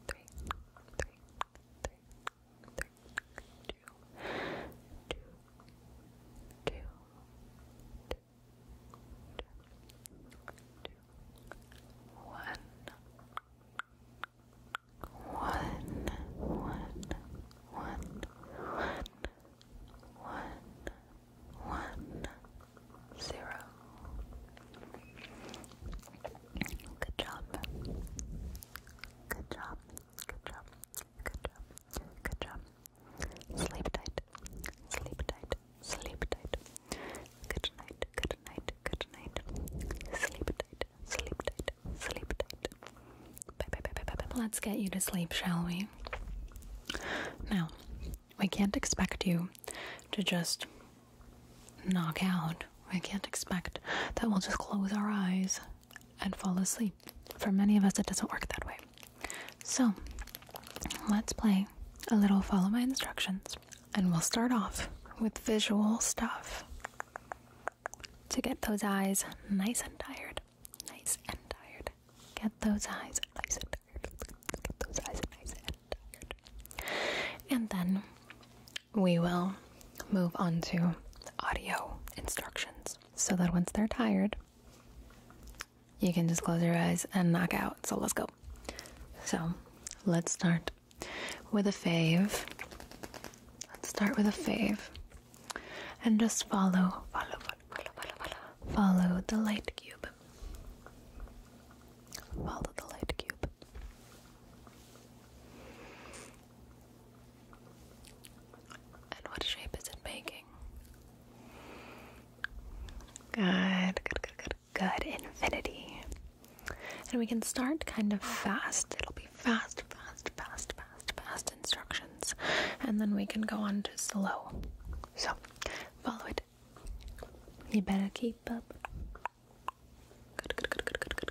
[SPEAKER 1] three, three, three, two, two, two, two, one, one, one, one, one, one, one, zero. Good job. Good job. Good job. Good job. Good job. Sleep tight. Sleep tight. Sleep tight. Good night. Good night. Good night. Sleep tight. Sleep tight. Sleep tight. Bye bye bye bye bye. Let's get you to sleep, shall we? Now, we can't expect you to just knock out. We can't expect that we'll just close our eyes and fall asleep. For many of us, it doesn't work that way. So, let's play a little follow my instructions, and we'll start off with visual stuff to get those eyes nice and tired. Nice and tired. Get those eyes nice and tired. Get those eyes nice and tired. And then we will move on to audio instructions so that once they're tired, you can just close your eyes and knock out. So let's go. So let's start with a fave. Let's start with a fave. And just follow, follow, follow, follow, follow, follow, follow the light cube. Follow the light cube. And what shape is it making? Good, good, good, good, good. Infinity. And we can start kind of fast. It'll be fast, fast, fast, fast, fast instructions. And then we can go on to slow. So, follow it. You better keep up. Good, good, good, good, good,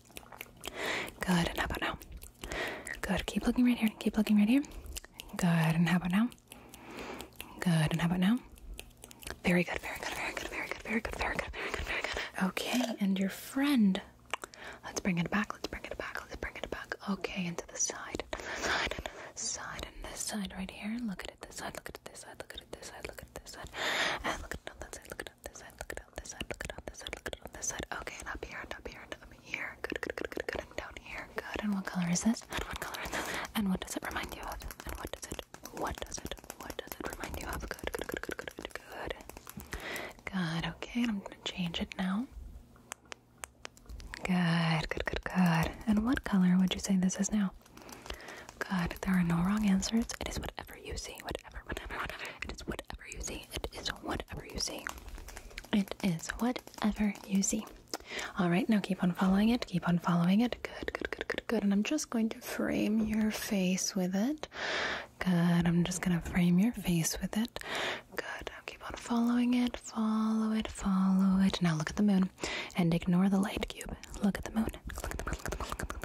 [SPEAKER 1] Good, and how about now? Good, keep looking right here, keep looking right here. Good, and how about now? Good, and how about now? Very good, very good, very good, very good, very good, very good, very good, very good. Okay, and your friend. Let's bring it back, let's bring it back, let's bring it back. Okay, Into the side, and the side, and the side, this side right here. Look at it this side, look at it this side, look at it this side, look at it this side. look at that side, look at it on this side, look it on this side, look it on this side, look it on this side. Okay, and up here, and up here, and up here. Good, good, good, good, good, and down here. Good, and what color is this? And what color is this? And what does it remind you of? And what does it, what does it, what does it remind you of? Good, good, good, good, good, good, good. Good, okay, and I'm gonna change it now. Good, good, good, good. And what color would you say this is now? Good, there are no wrong answers. It is whatever you see, whatever it is whatever you see. It is whatever you see. It is whatever you see. All right, now keep on following it. Keep on following it. Good, good, good, good, good. And I'm just going to frame your face with it. Good. I'm just going to frame your face with it. Good. keep on following it. Follow it. Follow it. Now look at the moon and ignore the light cube. Look at the moon. Look at the moon. Look at the moon.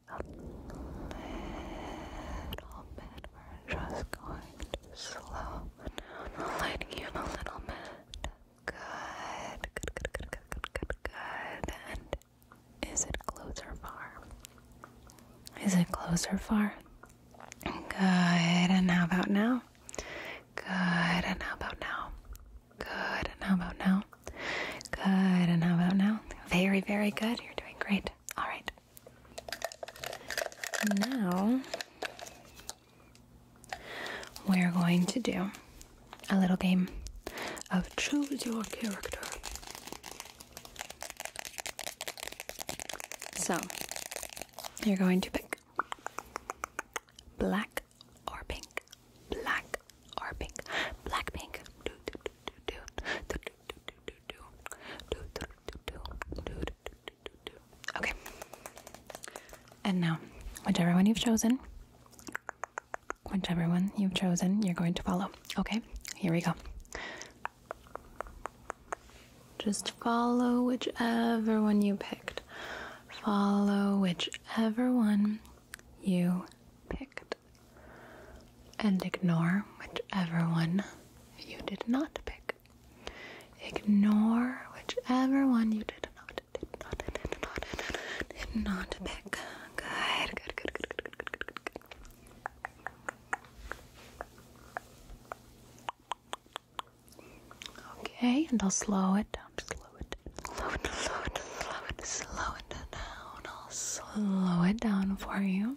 [SPEAKER 1] a little bit. We're just going to slow down the lighting you a little bit. Good, good, good, good, good, good, good, And is it closer far? Is it closer far? Good, and how about now? Good, and how about now? Good, and how about now? Good, and how about now? Very, very good. You're doing great. All right. Now we're going to do a little game of choose your character. So you're going to pick black or pink, black or pink, black pink. Okay. And now, whichever one you've chosen, whichever one you've chosen, you're going to follow. Okay? Here we go. Just follow whichever one you picked. Follow whichever one you picked and ignore whichever one you did not pick. Ignore whichever one you did not not not not pick. Good, good, good, good, good, good, good, good, Okay, and I'll slow it down. Slow it down. Slow it down. Slow it Slow it down. I'll slow it down for you.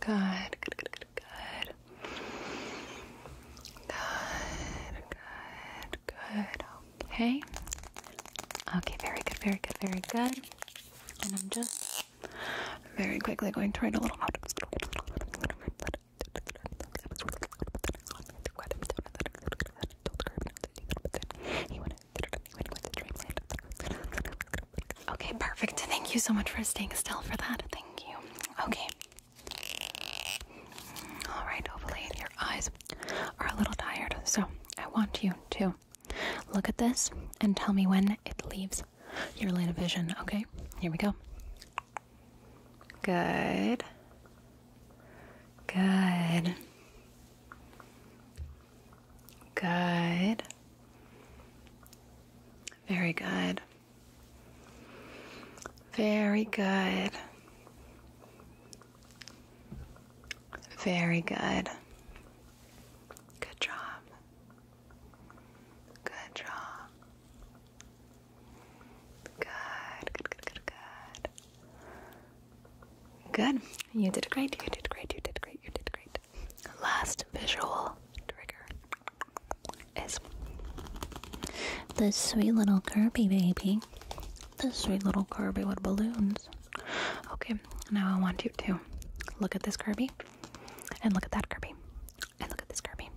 [SPEAKER 1] Good, good, good, good, good. Good, good, Okay. Okay, very good, very good, very good. And I'm just very quickly going to write a little note. Okay, perfect. Thank you so much for staying still for that. Thank you. Okay. Alright, hopefully your eyes are a little tired. So I want you to look at this and tell me when it leaves your line of vision. Okay, here we go. Good. Good. Good. Very good. Very good. Very good. Good job. Good job. Good, good, good, good, good. Good. You did great. You did great. You did great. You did great. Alright, last visual trigger is this sweet little Kirby baby. This sweet little Kirby with balloons. Okay, now I want you to look at this Kirby and look at that Kirby and look at this Kirby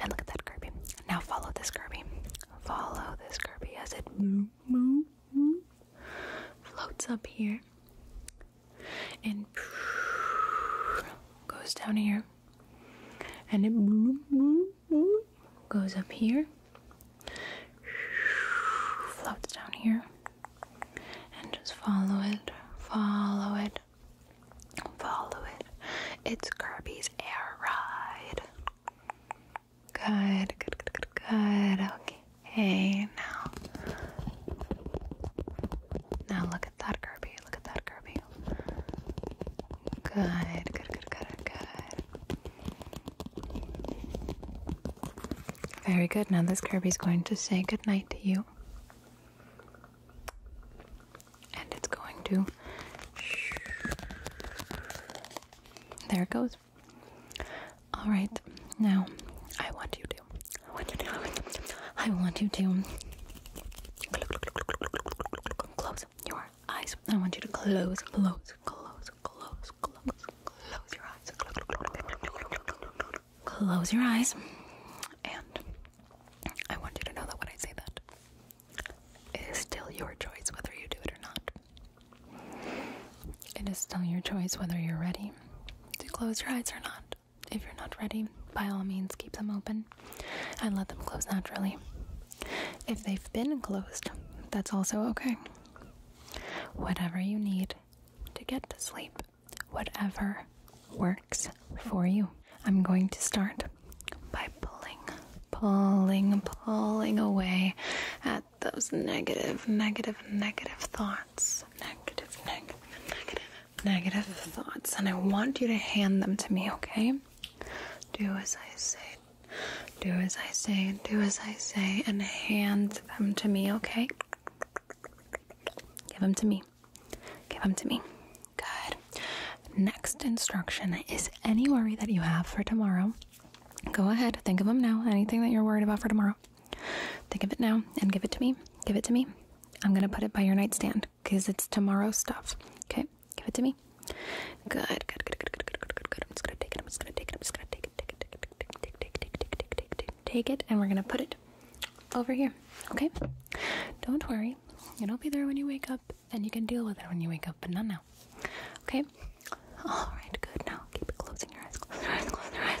[SPEAKER 1] and look at that Kirby. Now follow this Kirby. Follow this Kirby as it floats up here and goes down here and it goes up here floats down here and just follow it follow it follow it it's Kirby's air ride good good good good, good. okay Hey, now. Now look at that Kirby. Look at that Kirby. Good, good, good, good, good. Very good. Now this Kirby's going to say good night to you. And it's going to. There it goes. All right, now I want you to. I want you to. I want you to close your eyes. I want you to close, close, close, close, close, close your eyes. Close your eyes, and I want you to know that when I say that, it is still your choice whether you do it or not. It is still your choice whether you're ready to close your eyes or not. If you're not ready, by all means, keep them open and let them close naturally. If they've been closed, that's also okay. Whatever you need to get to sleep, whatever works for you. I'm going to start by pulling, pulling, pulling away at those negative, negative, negative thoughts thoughts, negative, negative, negative, negative thoughts, and I want you to hand them to me, okay? Do as I say, do as I say, do as I say, and hand them to me, okay? Give them to me. Give them to me. Good. Next instruction is any worry that you have for tomorrow. Go ahead, think of them now. Anything that you're worried about for tomorrow, tomorrow. Think of it now and give it to me. Give it to me. I'm going to put it by your nightstand because it's tomorrow stuff. Okay? Give it to me. Good, good, good, good, good, good, good, good, good. I'm just going to take it. I'm just going to take it. I'm just going to take it. Take it, take it, take it, take it, take it, take it, take it. Take it, and we're going to put it over here. Okay? Don't worry. It'll be there when you wake up, and you can deal with it when you wake up, but not now. Okay? All right, good. Now keep it closing your eyes. Close your eyes. Close your eyes.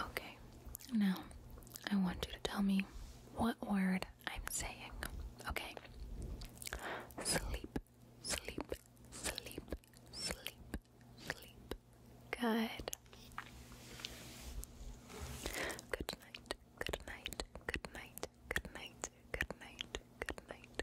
[SPEAKER 1] Okay, now I want you to tell me what word I'm saying. Okay, sleep, sleep, sleep, sleep, sleep. Good. Good night, good night, good night, good night, good night, good night,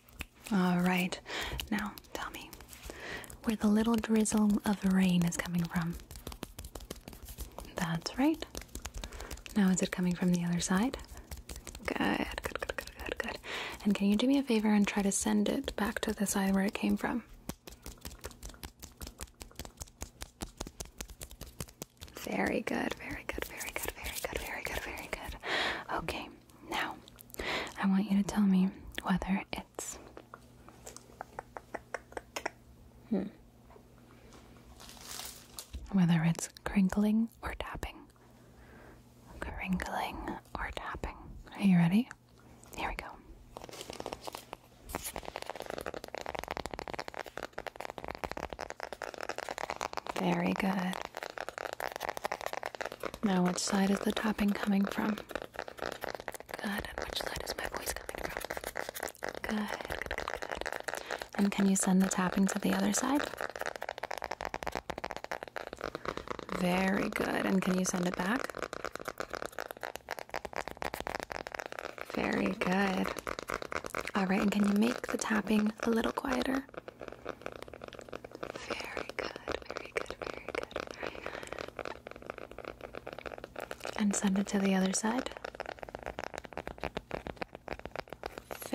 [SPEAKER 1] All right. Now, tell me where the little drizzle of rain is coming from. That's right. Now, is it coming from the other side? Good, good, good, good, good, good. And can you do me a favor and try to send it back to the side where it came from? Very good, very good, very good, very good, very good, very good. Okay, now, I want you to tell me whether it's. Hmm. Whether it's crinkling or tapping. Crinkling or tapping. Are you ready? Here we go. Very good. Now, which side is the tapping coming from? Good. And which side is my voice coming from? good, good. And can you send the tapping to the other side? Very good. And can you send it back? Very good. All right. And can you make the tapping a little quieter? Very good, very good, very good, very good. And send it to the other side.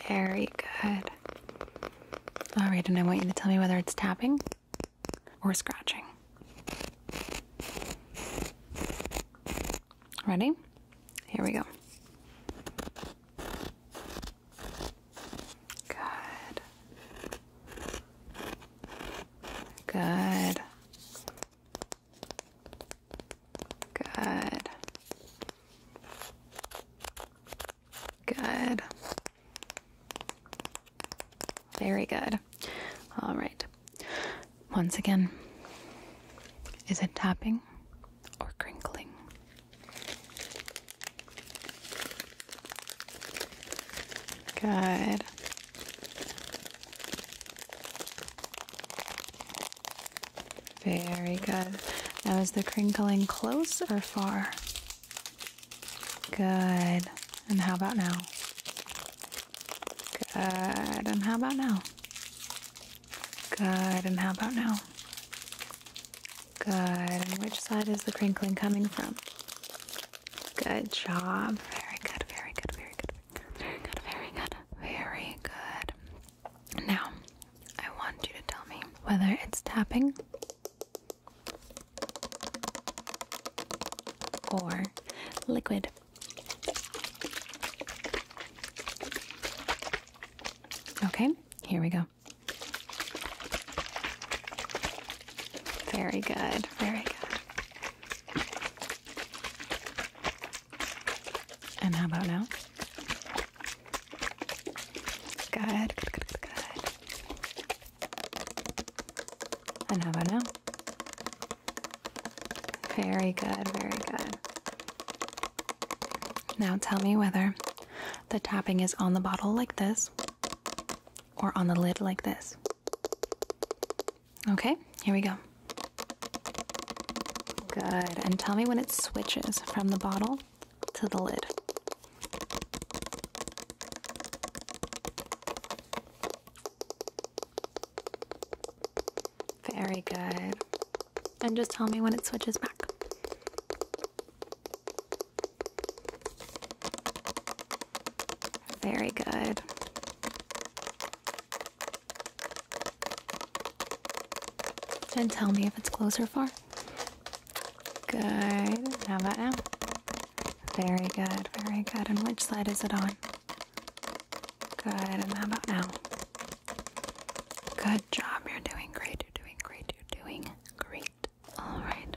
[SPEAKER 1] Very good. Alright, and I want you to tell me whether it's tapping or scratching. Ready? Here we go. Good. Good. Good. Good. Very good. All right. Once again, is it tapping or crinkling? Good. Very good. Now, is the crinkling close or far? Good. And how about now? Good. And how about now? Good. And how about now? Good. And which side is the crinkling coming from? Good job. Very good, very good, very good, very good, very good, very good. Now, I want you to tell me whether it's tapping or liquid. Okay, here we go. Very good, very good. And how about now? Good, good, good, And how about now? Very good, very good. Now tell me whether the tapping is on the bottle like this or on the lid like this. Okay, here we go. Good. And tell me when it switches from the bottle to the lid. Very good. And just tell me when it switches back. Very good. Then tell me if it's close or far. Good. How about now? Very good, very good. And which side is it on? Good. And how about now? Good job. You're doing great. You're doing great. You're doing great. All right.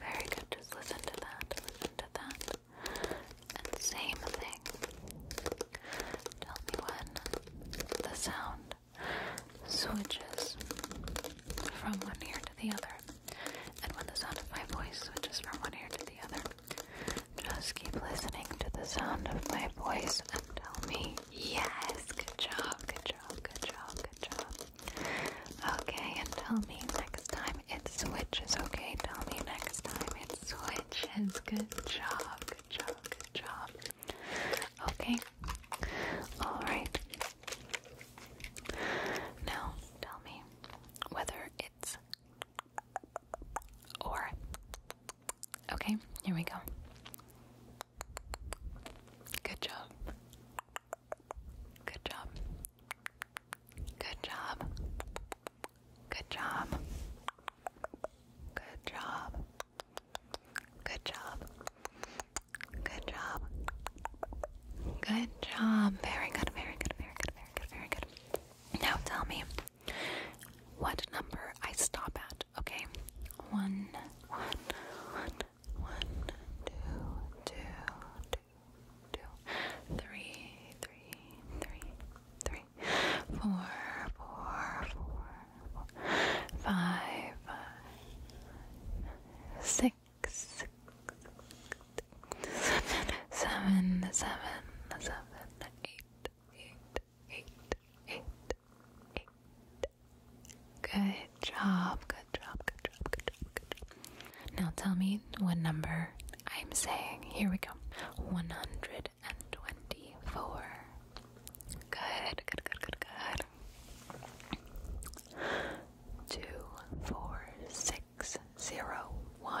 [SPEAKER 1] Very good. Just listen to that. Listen to that. same thing. Tell me when the sound switches from one ear to the other, and when the sound of my voice switches from one ear to the other. Just keep listening to the sound of my voice and tell me, yes, good job, good job, good job, good job. Okay, and tell me next time it switches, okay? Tell me next time it switches. Good job, good job, good job. Okay, alright. Now, tell me whether it's or Okay, here we go. Good job. Good job. Good job. Good job. Good job. Good job. Good job. Good job. Very good, very good, very good, very good, very good. Now tell me, what number I stop at, okay? One, one, one, one, two, two, two, two, three, three, three, three, four, four, four, four, five, five, six, six, six, seven, seven, seven, seven, seven, eight, eight, eight, eight, eight. Good job, good job, good job, good job, good job. Now tell me what number I'm saying. Here we go. 124. Good, good, good, good, good. Two, four, six, zero, one.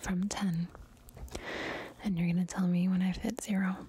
[SPEAKER 1] from 10. And you're going to tell me when i hit 0. 10,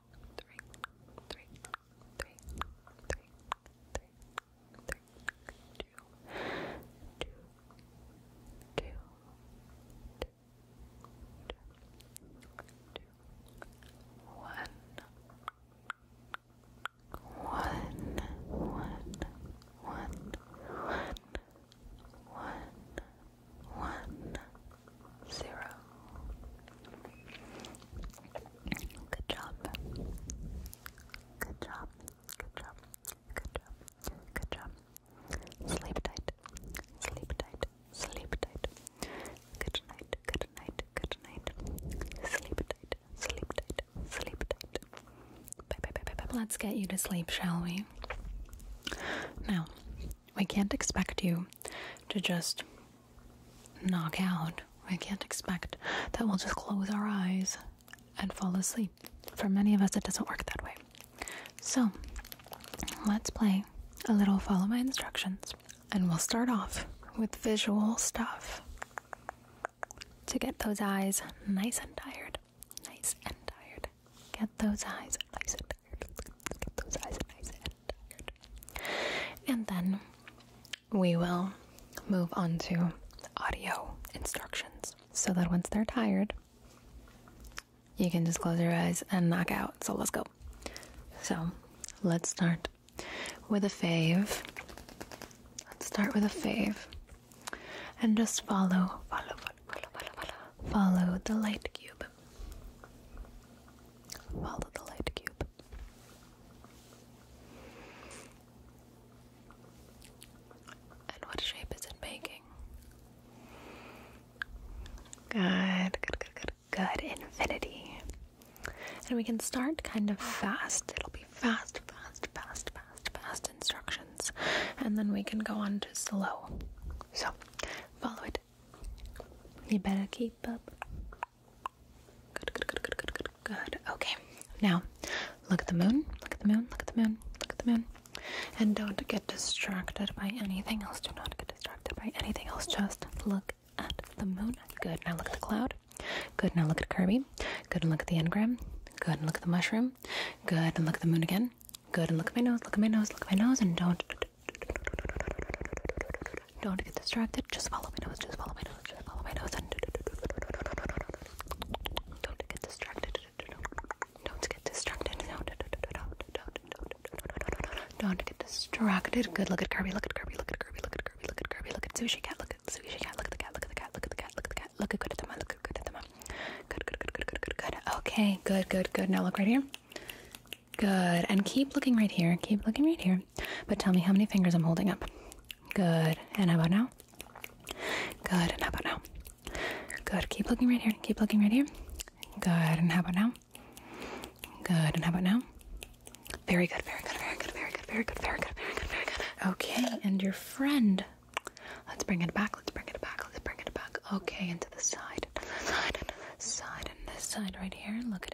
[SPEAKER 1] three, three, three, three, three, three, two, two, two, two, two, one, one, one, one, one, one, one, one, zero. Good job. Good job. Good job. Good job. Good job. Sleep tight. Sleep tight. Sleep tight. Good night. Good night. Good night. Sleep tight. Sleep tight. Sleep tight. Bye, bye, bye, bye, bye. Let's get you to sleep, shall we? Now, we can't expect you to just knock out. We can't expect that we'll just close our eyes and fall asleep. For many of us, it doesn't work that way. So, let's play a little follow my instructions, and we'll start off with visual stuff to get those eyes nice and tired. Nice and tired. Get those eyes nice and tired. Get those eyes nice and tired part. And then we will move on to audio instructions so that once they're tired, you can just close your eyes and knock out. So let's go. So let's start with a fave. Let's start with a fave. And just follow, follow, follow, follow, follow, follow, follow the light cube. Follow the light cube. And what shape is it making? Good, good, good, good, good. Infinity. And we can start kind of fast. It'll be fast, fast, fast, fast, fast instructions. And then we can go on to slow. So, follow it. You better keep up. Good, good, good, good, good, good, good. Okay. Now, look at the moon. Look at the moon. Look at the moon. Look at the moon. And don't get distracted by anything else. Do not get distracted by anything else. Just look at the moon. Good. Now look at the cloud. Good. Now look at Kirby. Good. And look at the engram. Good. And look at the mushroom. Good. And look at the moon again. Good. And look at my nose. Look at my nose. Look at my nose. And don't don't get distracted. Just follow my nose. Just follow my nose. Just follow my nose. And don't get distracted. Don't get distracted. Don't, don't get distracted. Good. Look at Kirby. Look at Kirby. Look at Kirby. Look at Kirby. Look at Kirby. Look at Sushi Cat. Look at Sushi Cat. Look at the cat. Look at the cat. Look at the cat. Look at the cat. Look at good at the Look at good at the Good. Good. Good. Good. Good. Good. Good. Okay. Good. Good. Good. Now look right here. Good. And keep looking right here. Keep looking right here. But tell me how many fingers I'm holding up. Good. And how about now? Good. And how about now? Good. Keep looking right here. Keep looking right here. Good. And how about now? Good. And how about now? Very good. Very good. Very good. Very good. Very good. Very good. Very good. Very good. Okay. And your friend. Let's bring it back. Let's bring it back. Let's bring it back. Okay. And to the side. Side. Side. And this side right here. Look at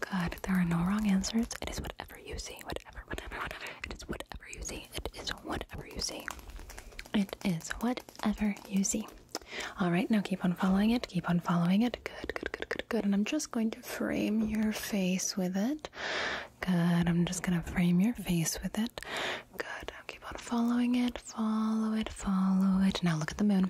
[SPEAKER 1] Good. There are no wrong answers. It is whatever you see. Whatever, whatever, whatever. It is whatever you see. It is whatever you see. It is whatever you see. All right, now keep on following it. Keep on following it. Good, good, good, good, good. And I'm just going to frame your face with it. Good. I'm just going to frame your face with it. Good. keep on following it. Follow it, follow it. Now look at the moon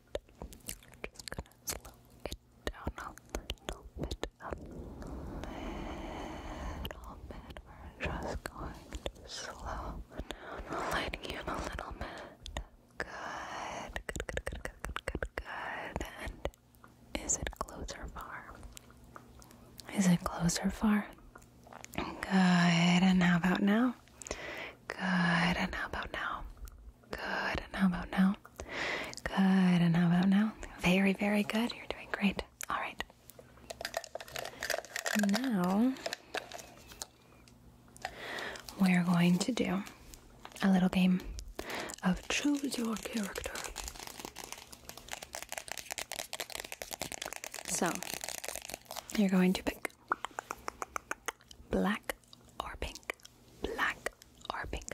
[SPEAKER 1] just gonna slow it down a little bit, a little bit. We're just going to slow lighting you a little bit. Good, good, good, good, good, good, good, And is it close or far? Is it close or far? Good, and how about now? Good, and how about now? Good. And how about now? Good. And how about now? Very, very good. You're doing great. All right. Now, we're going to do a little game of choose your character. So, you're going to pick black or pink, black or pink,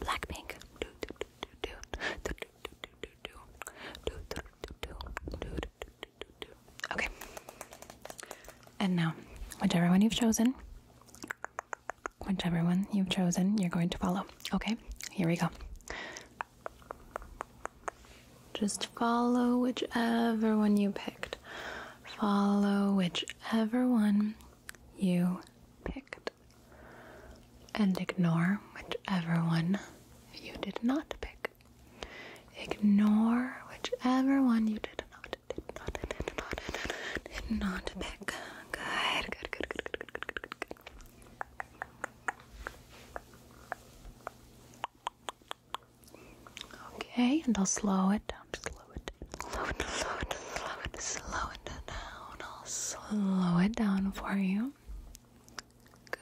[SPEAKER 1] black pink. Okay. And now, whichever one you've chosen, whichever one you've chosen, you're going to follow. Okay. Here we go. Just follow whichever one you picked. Follow whichever one you picked, and ignore whichever one you did not pick. Ignore whichever one you did not, did not, did not, pick. Good, Okay, and I'll slow it down slow it, slow it, slow it, slow it, slow it down. I'll slow it down for you. Good,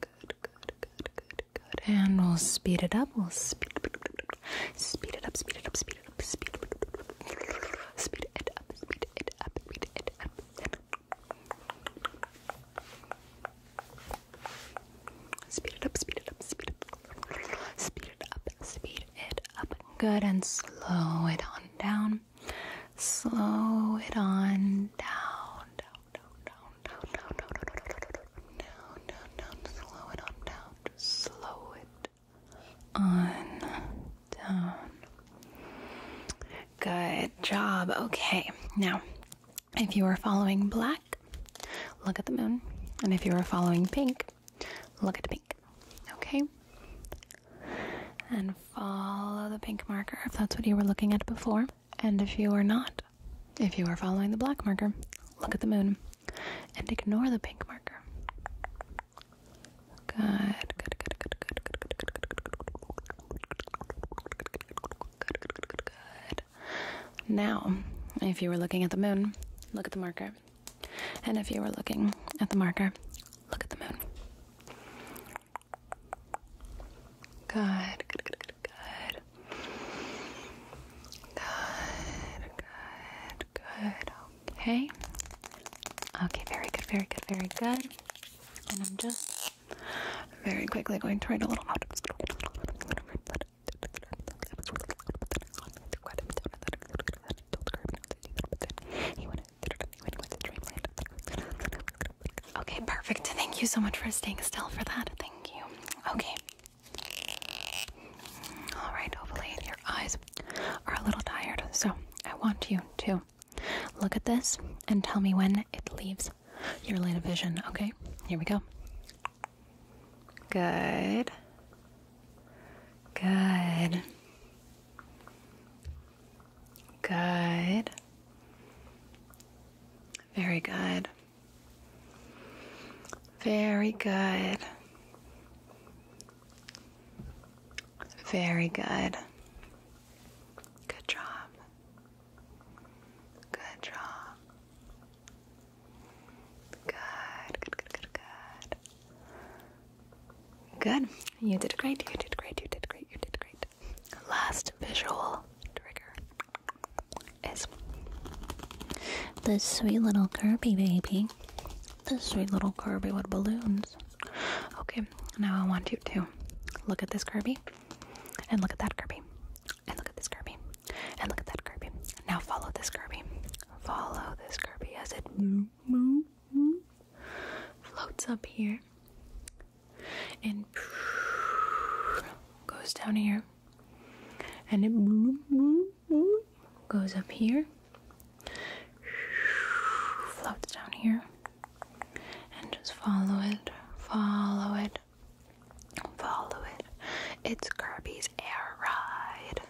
[SPEAKER 1] good, good, good, good, good. And we'll speed it up. We'll speed, speed it up, speed it up, speed it up, speed it up, speed it up, speed it up, speed it up. Speed it up, speed it up, speed it up, speed it up, speed up good and slow it on down. Slow it on down, down, down, down, down, down, down, down, down, down, down, slow it on down, slow it on down. Good job. Okay, now if you are following black, look at the moon, and if you are following pink, Look at the pink. Okay? And follow the pink marker if that's what you were looking at before. And if you are not, if you are following the black marker, look at the moon and ignore the pink marker. Good, good, good, good, good, good, good, good, good, good, good, good, good. Now, if you were looking at the moon, look at the marker and if you were looking at the marker, look at the moon. Good, good, good, good, good. Good, good, good. Okay. Okay, very good, very good, very good. And I'm just very quickly going to write a little Okay, perfect. Thank you so much for staying still for that. Thank you. Okay. All right, hopefully your eyes are a little tired. So, I want you to look at this and tell me when it leaves your line of vision, okay? Here we go. Good. Good. Good. Very good. Very good. Very good. Good job. Good job. Good, good, good, good, good. Good. You did great. You did great. You did great. You did great. Last visual trigger is this sweet little Kirby baby. This sweet little Kirby with balloons. Okay, now I want you to look at this Kirby and look at that Kirby and look at this Kirby and look at that Kirby now follow this Kirby. Follow this Kirby as it floats up here and goes down here. And it goes up here, floats down here, and just follow it, follow it, follow it. It's Kirby's air ride.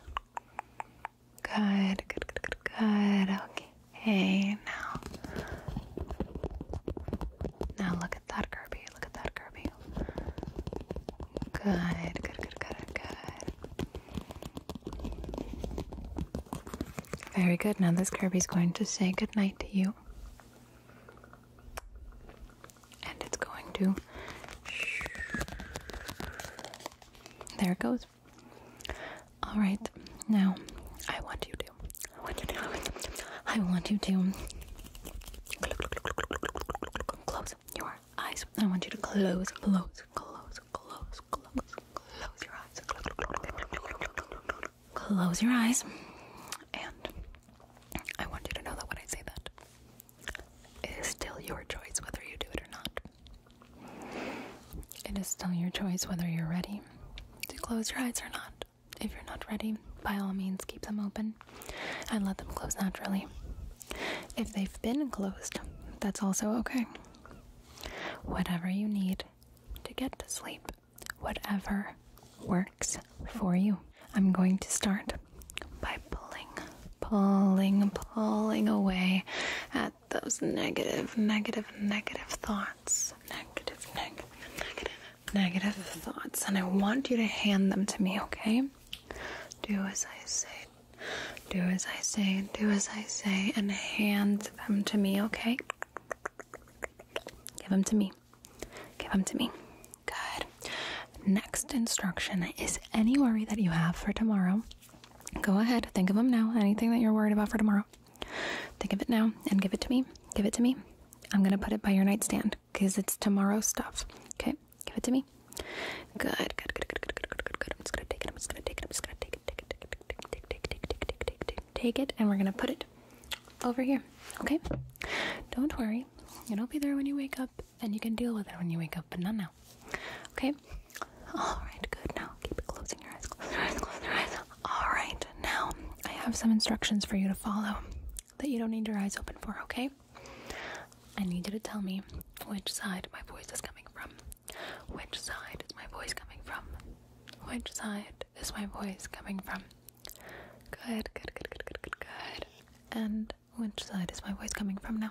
[SPEAKER 1] Good, good, good, good, good. Okay, now. Now look at that, Kirby. Look at that, Kirby. Good, good, good, good, good. Very good. Now this Kirby's going to say good night to you. And it's going to there it goes. All right, now I want you to. I want you to. I want you to close your eyes. I want you to close, close, close, close, close, close your eyes. Close your eyes, and I want you to know that when I say that, it is still your choice whether you do it or not. It is still your choice whether you're ready to close your eyes or not. If you're not ready, by all means, keep them open and let them close naturally. If they've been closed, that's also okay. Whatever you need to get to sleep, whatever works for you. I'm going to start by pulling, pulling, pulling away at those negative, negative, negative thoughts. Negative, negative, negative, negative thoughts. And I want you to hand them to me, okay? Do as I say. Do as I say, do as I say, and hand them to me, okay? Give them to me. Give them to me. Good. Next instruction is any worry that you have for tomorrow Go ahead, think of them now. Anything that you're worried about for tomorrow, think of it now and give it to me. Give it to me. I'm gonna put it by your nightstand because it's tomorrow stuff. Okay, give it to me. Good, good, good, good, good, good, good, good, good. I'm just gonna take it. I'm just gonna take it. I'm just gonna take it. Take it. Take it. Take it. Take it. Take it. Take it. Take it. Take it. And we're gonna put it over here. Okay. Don't worry. It'll be there when you wake up. And you can deal with it when you wake up, but not now. Okay? Alright, good. Now keep closing your eyes, close your eyes, close your eyes. Alright, now I have some instructions for you to follow that you don't need your eyes open for, okay? I need you to tell me which side my voice is coming from. Which side is my voice coming from? Which side is my voice coming from? Good, good, good, good, good, good, good. And which side is my voice coming from now?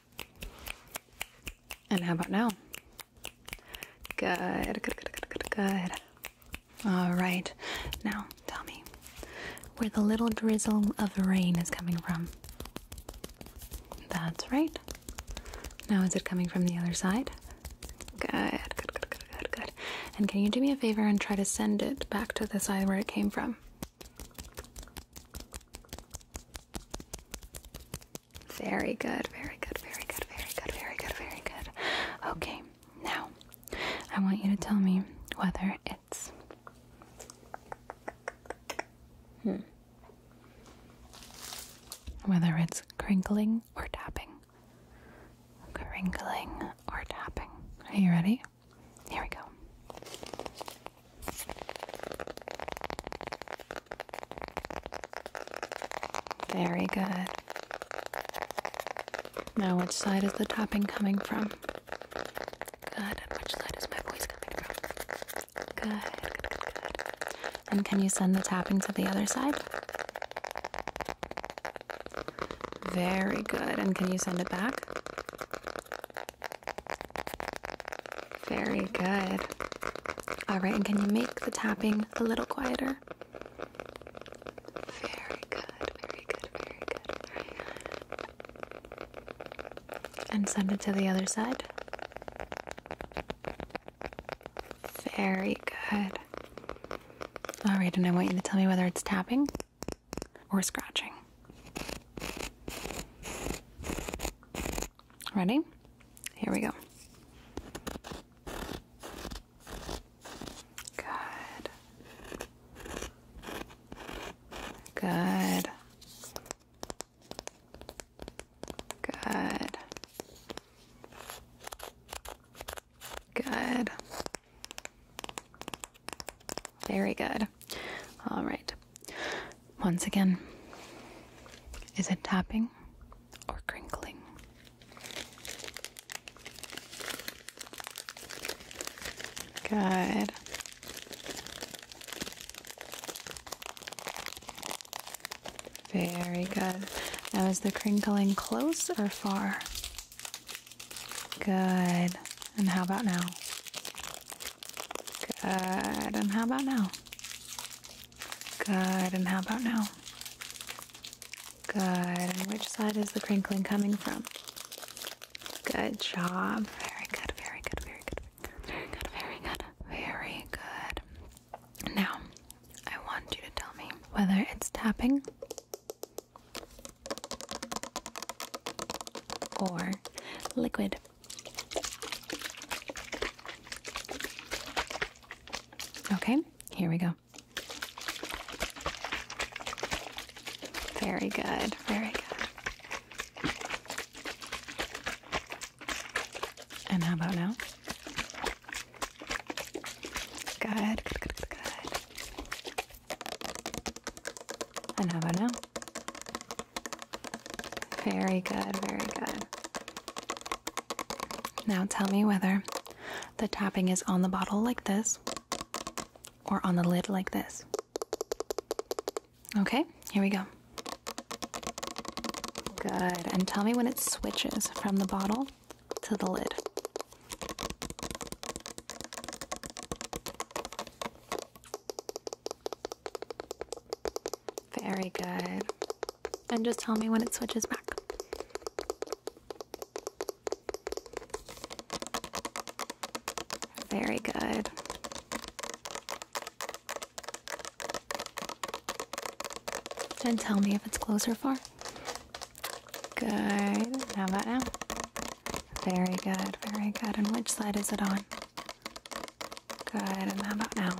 [SPEAKER 1] And how about now? Good, good, good, good, good, good. All right. Now, tell me where the little drizzle of rain is coming from. That's right. Now, is it coming from the other side? Good, good, good, good, good, good. And can you do me a favor and try to send it back to the side where it came from? Very good, very good, very good, very good, very good, very good. Okay, now I want you to tell me whether it's. Hmm. Whether it's crinkling or tapping. Crinkling or tapping. Are you ready? Here we go. Very good. Now, which side is the tapping coming from? Good. which side is my voice coming from? Good. Good, good, good. And can you send the tapping to the other side? Very good. And can you send it back? Very good. All right, and can you make the tapping a little quieter? Very good, very good, very good, very good. And send it to the other side. Very good. All right, and I want you to tell me whether it's tapping or scratching. Ready? Here we go. Good. Good. Good. Good. Very good. All right. Once again, is it tapping or crinkling? Good. Very good. Now, is the crinkling close or far? Good. And how about now? Good. And how about now? Good, and how about now? Good, and which side is the crinkling coming from? Good job. Very good, very good, very good, very good, very good, very good. Now, I want you to tell me whether it's tapping or liquid. Okay, here we go. Very good, very good. And how about now? Good, good, good, And how about now? Very good, very good. Now tell me whether the tapping is on the bottle like this or on the lid like this. Okay, here we go. Good. And tell me when it switches from the bottle to the lid. Very good. And just tell me when it switches back. Very good. And tell me if it's close or far. Good. How about now? Very good, very good. And which side is it on? Good, and how about now?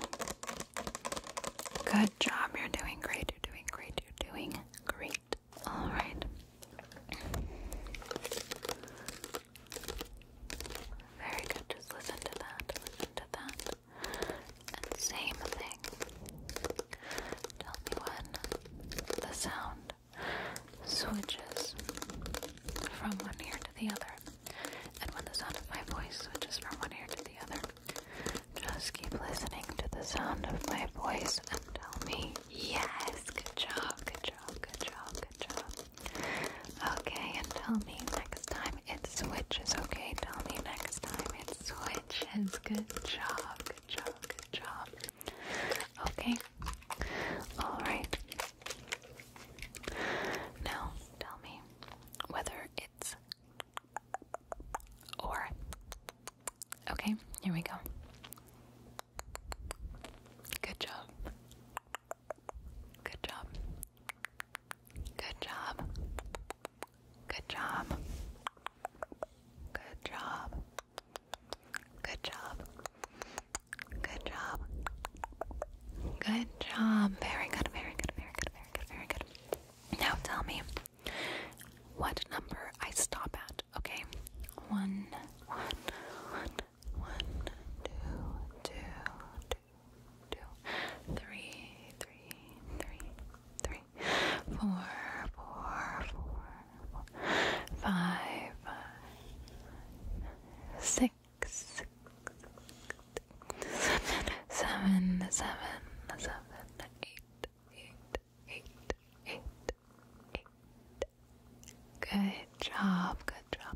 [SPEAKER 1] Good job, you're doing great, you're doing great, you're doing great. Alright. Very good, just listen to that, listen to that. same thing. Tell me when the sound switches from one ear to the other. And when the sound of my voice switches from one ear to the other, just keep listening to the sound of my voice and tell me, yes, good job, good job, good job, good job. Okay, and tell me next time it switches, okay? Tell me next time it switches. Good job, good job, good job. Okay, alright. Now, tell me whether it words. Or. Okay, here we go. Good job. Good job. Good job. Good job. Good job. Good job. Good job. Good job. Very good, very good, very good, very good very good, Now tell me what number I stop at, okay? One, one, one, one, two, two, two, two, three, three, three, three, four, four, four, four, five, five, six six, seven, seven, seven, eight, eight, eight, eight, eight. Good job, good job, good job,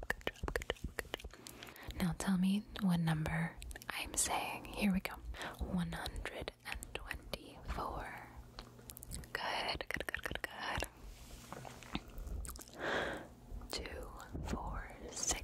[SPEAKER 1] good job, good job. Now tell me what number I'm saying. Here we go. 124. Good, good, good, good, good. Two, four, six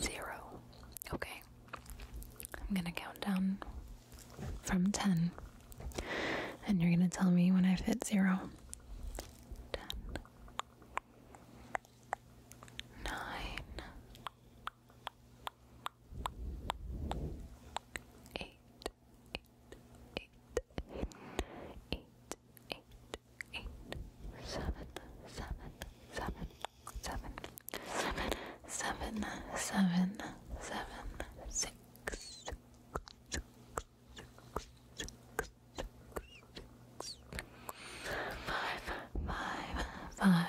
[SPEAKER 1] zero. Okay, I'm gonna count down from 10, and you're gonna tell me when I've hit zero. 10, seven, seven, seven, seven, seven, six, six, six, six, six, six, six, five,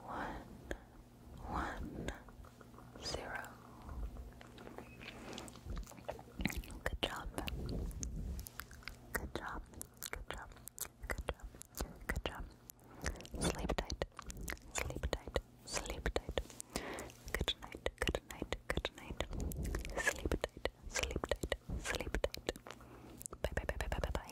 [SPEAKER 1] one, one, zero. Good job. Good job. Good job. Good job. Good job. Sleep tight. Sleep tight. Sleep tight. Good night. Good night. Good night. Sleep tight. Sleep tight. Sleep tight. Bye bye bye bye bye bye bye.